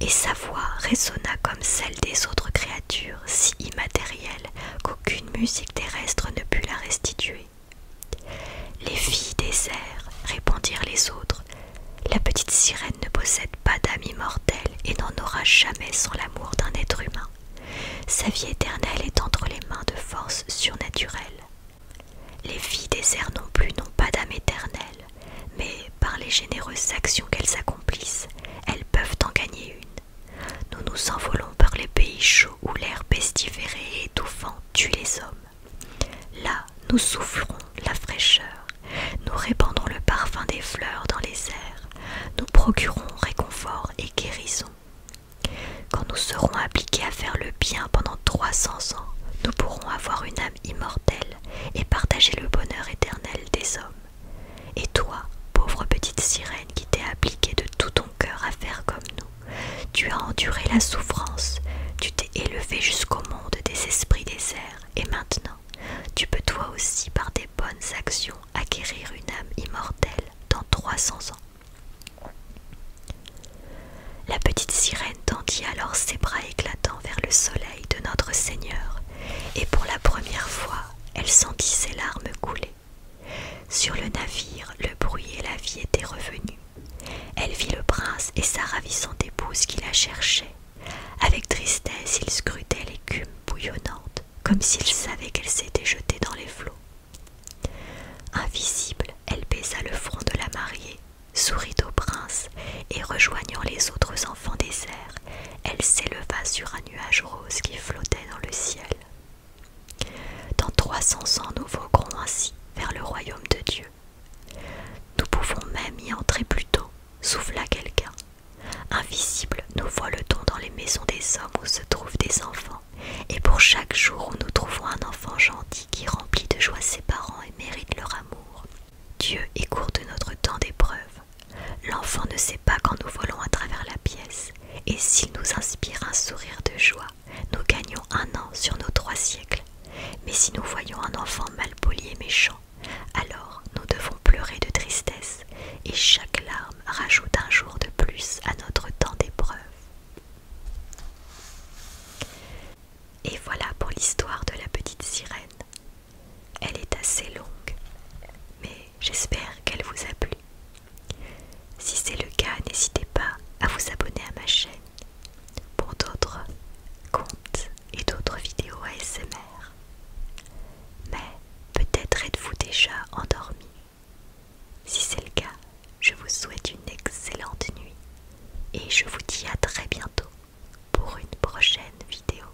[SPEAKER 1] et sa voix résonna comme celle des autres créatures, si immatérielle qu'aucune musique terrestre ne put la restituer. Les filles des airs, répondirent les autres, la petite sirène ne possède pas d'âme immortelle et n'en aura jamais sans l'amour d'un être humain. Sa vie éternelle est entre les mains de forces surnaturelles. Les filles des airs non plus n'ont pas d'âme éternelle mais par les généreuses actions qu'elles accomplissent, elles peuvent en gagner une. Nous nous envolons par les pays chauds où l'air pestiféré et étouffant tue les hommes. Là, nous souffrons la fraîcheur, nous répandons le parfum des fleurs dans les airs, nous procurons réconfort et guérison. Quand nous serons appliqués à faire le bien pendant 300 ans, nous pourrons avoir une immortelle et partager le bonheur éternel des hommes. Et toi, pauvre petite sirène qui t'es appliquée de tout ton cœur à faire comme nous, tu as enduré la souffrance, tu t'es élevée jusqu'au monde des esprits déserts et maintenant, tu peux toi aussi par des bonnes actions acquérir une âme immortelle dans 300 ans. La petite sirène tendit alors ses bras éclatants vers le soleil de notre Seigneur, et pour la première fois elle sentit ses larmes couler. Sur le navire, le bruit et la vie étaient revenus. Elle vit le prince et sa ravissante épouse qui la cherchaient. Avec tristesse, il scrutait l'écume bouillonnante, comme s'il savait qu'elle s'était jetée dans les flots. Invisible, elle baisa le front de la mariée sourit au prince et rejoignant les autres enfants des airs, elle s'éleva sur un nuage rose qui flottait dans le ciel. Dans trois cents ans, nous voguerons ainsi vers le royaume de Dieu. Nous pouvons même y entrer plus tôt, souffla quelqu'un. Invisible, nous voiletons dans les maisons des hommes où se trouvent des enfants, et pour chaque jour où nous trouvons un enfant gentil qui remplit de joie ses parents et mérite leur amour, Dieu est court de notre temps d'épreuve. L'enfant ne sait pas quand nous volons à travers la pièce, et s'il nous inspire un sourire de joie, nous gagnons un an sur nos trois siècles. Mais si nous voyons un enfant malpoli et méchant, alors nous devons pleurer de tristesse, et chaque larme rajoute un jour de plus à notre temps d'épreuve. Et voilà pour l'histoire de la petite sirène. Elle est assez longue, mais j'espère qu'elle vous a plu. Si c'est le cas, n'hésitez pas à vous abonner à ma chaîne pour d'autres comptes et d'autres vidéos ASMR. Mais peut-être êtes-vous déjà endormi. Si c'est le cas, je vous souhaite une excellente nuit et je vous dis à très bientôt pour une prochaine vidéo.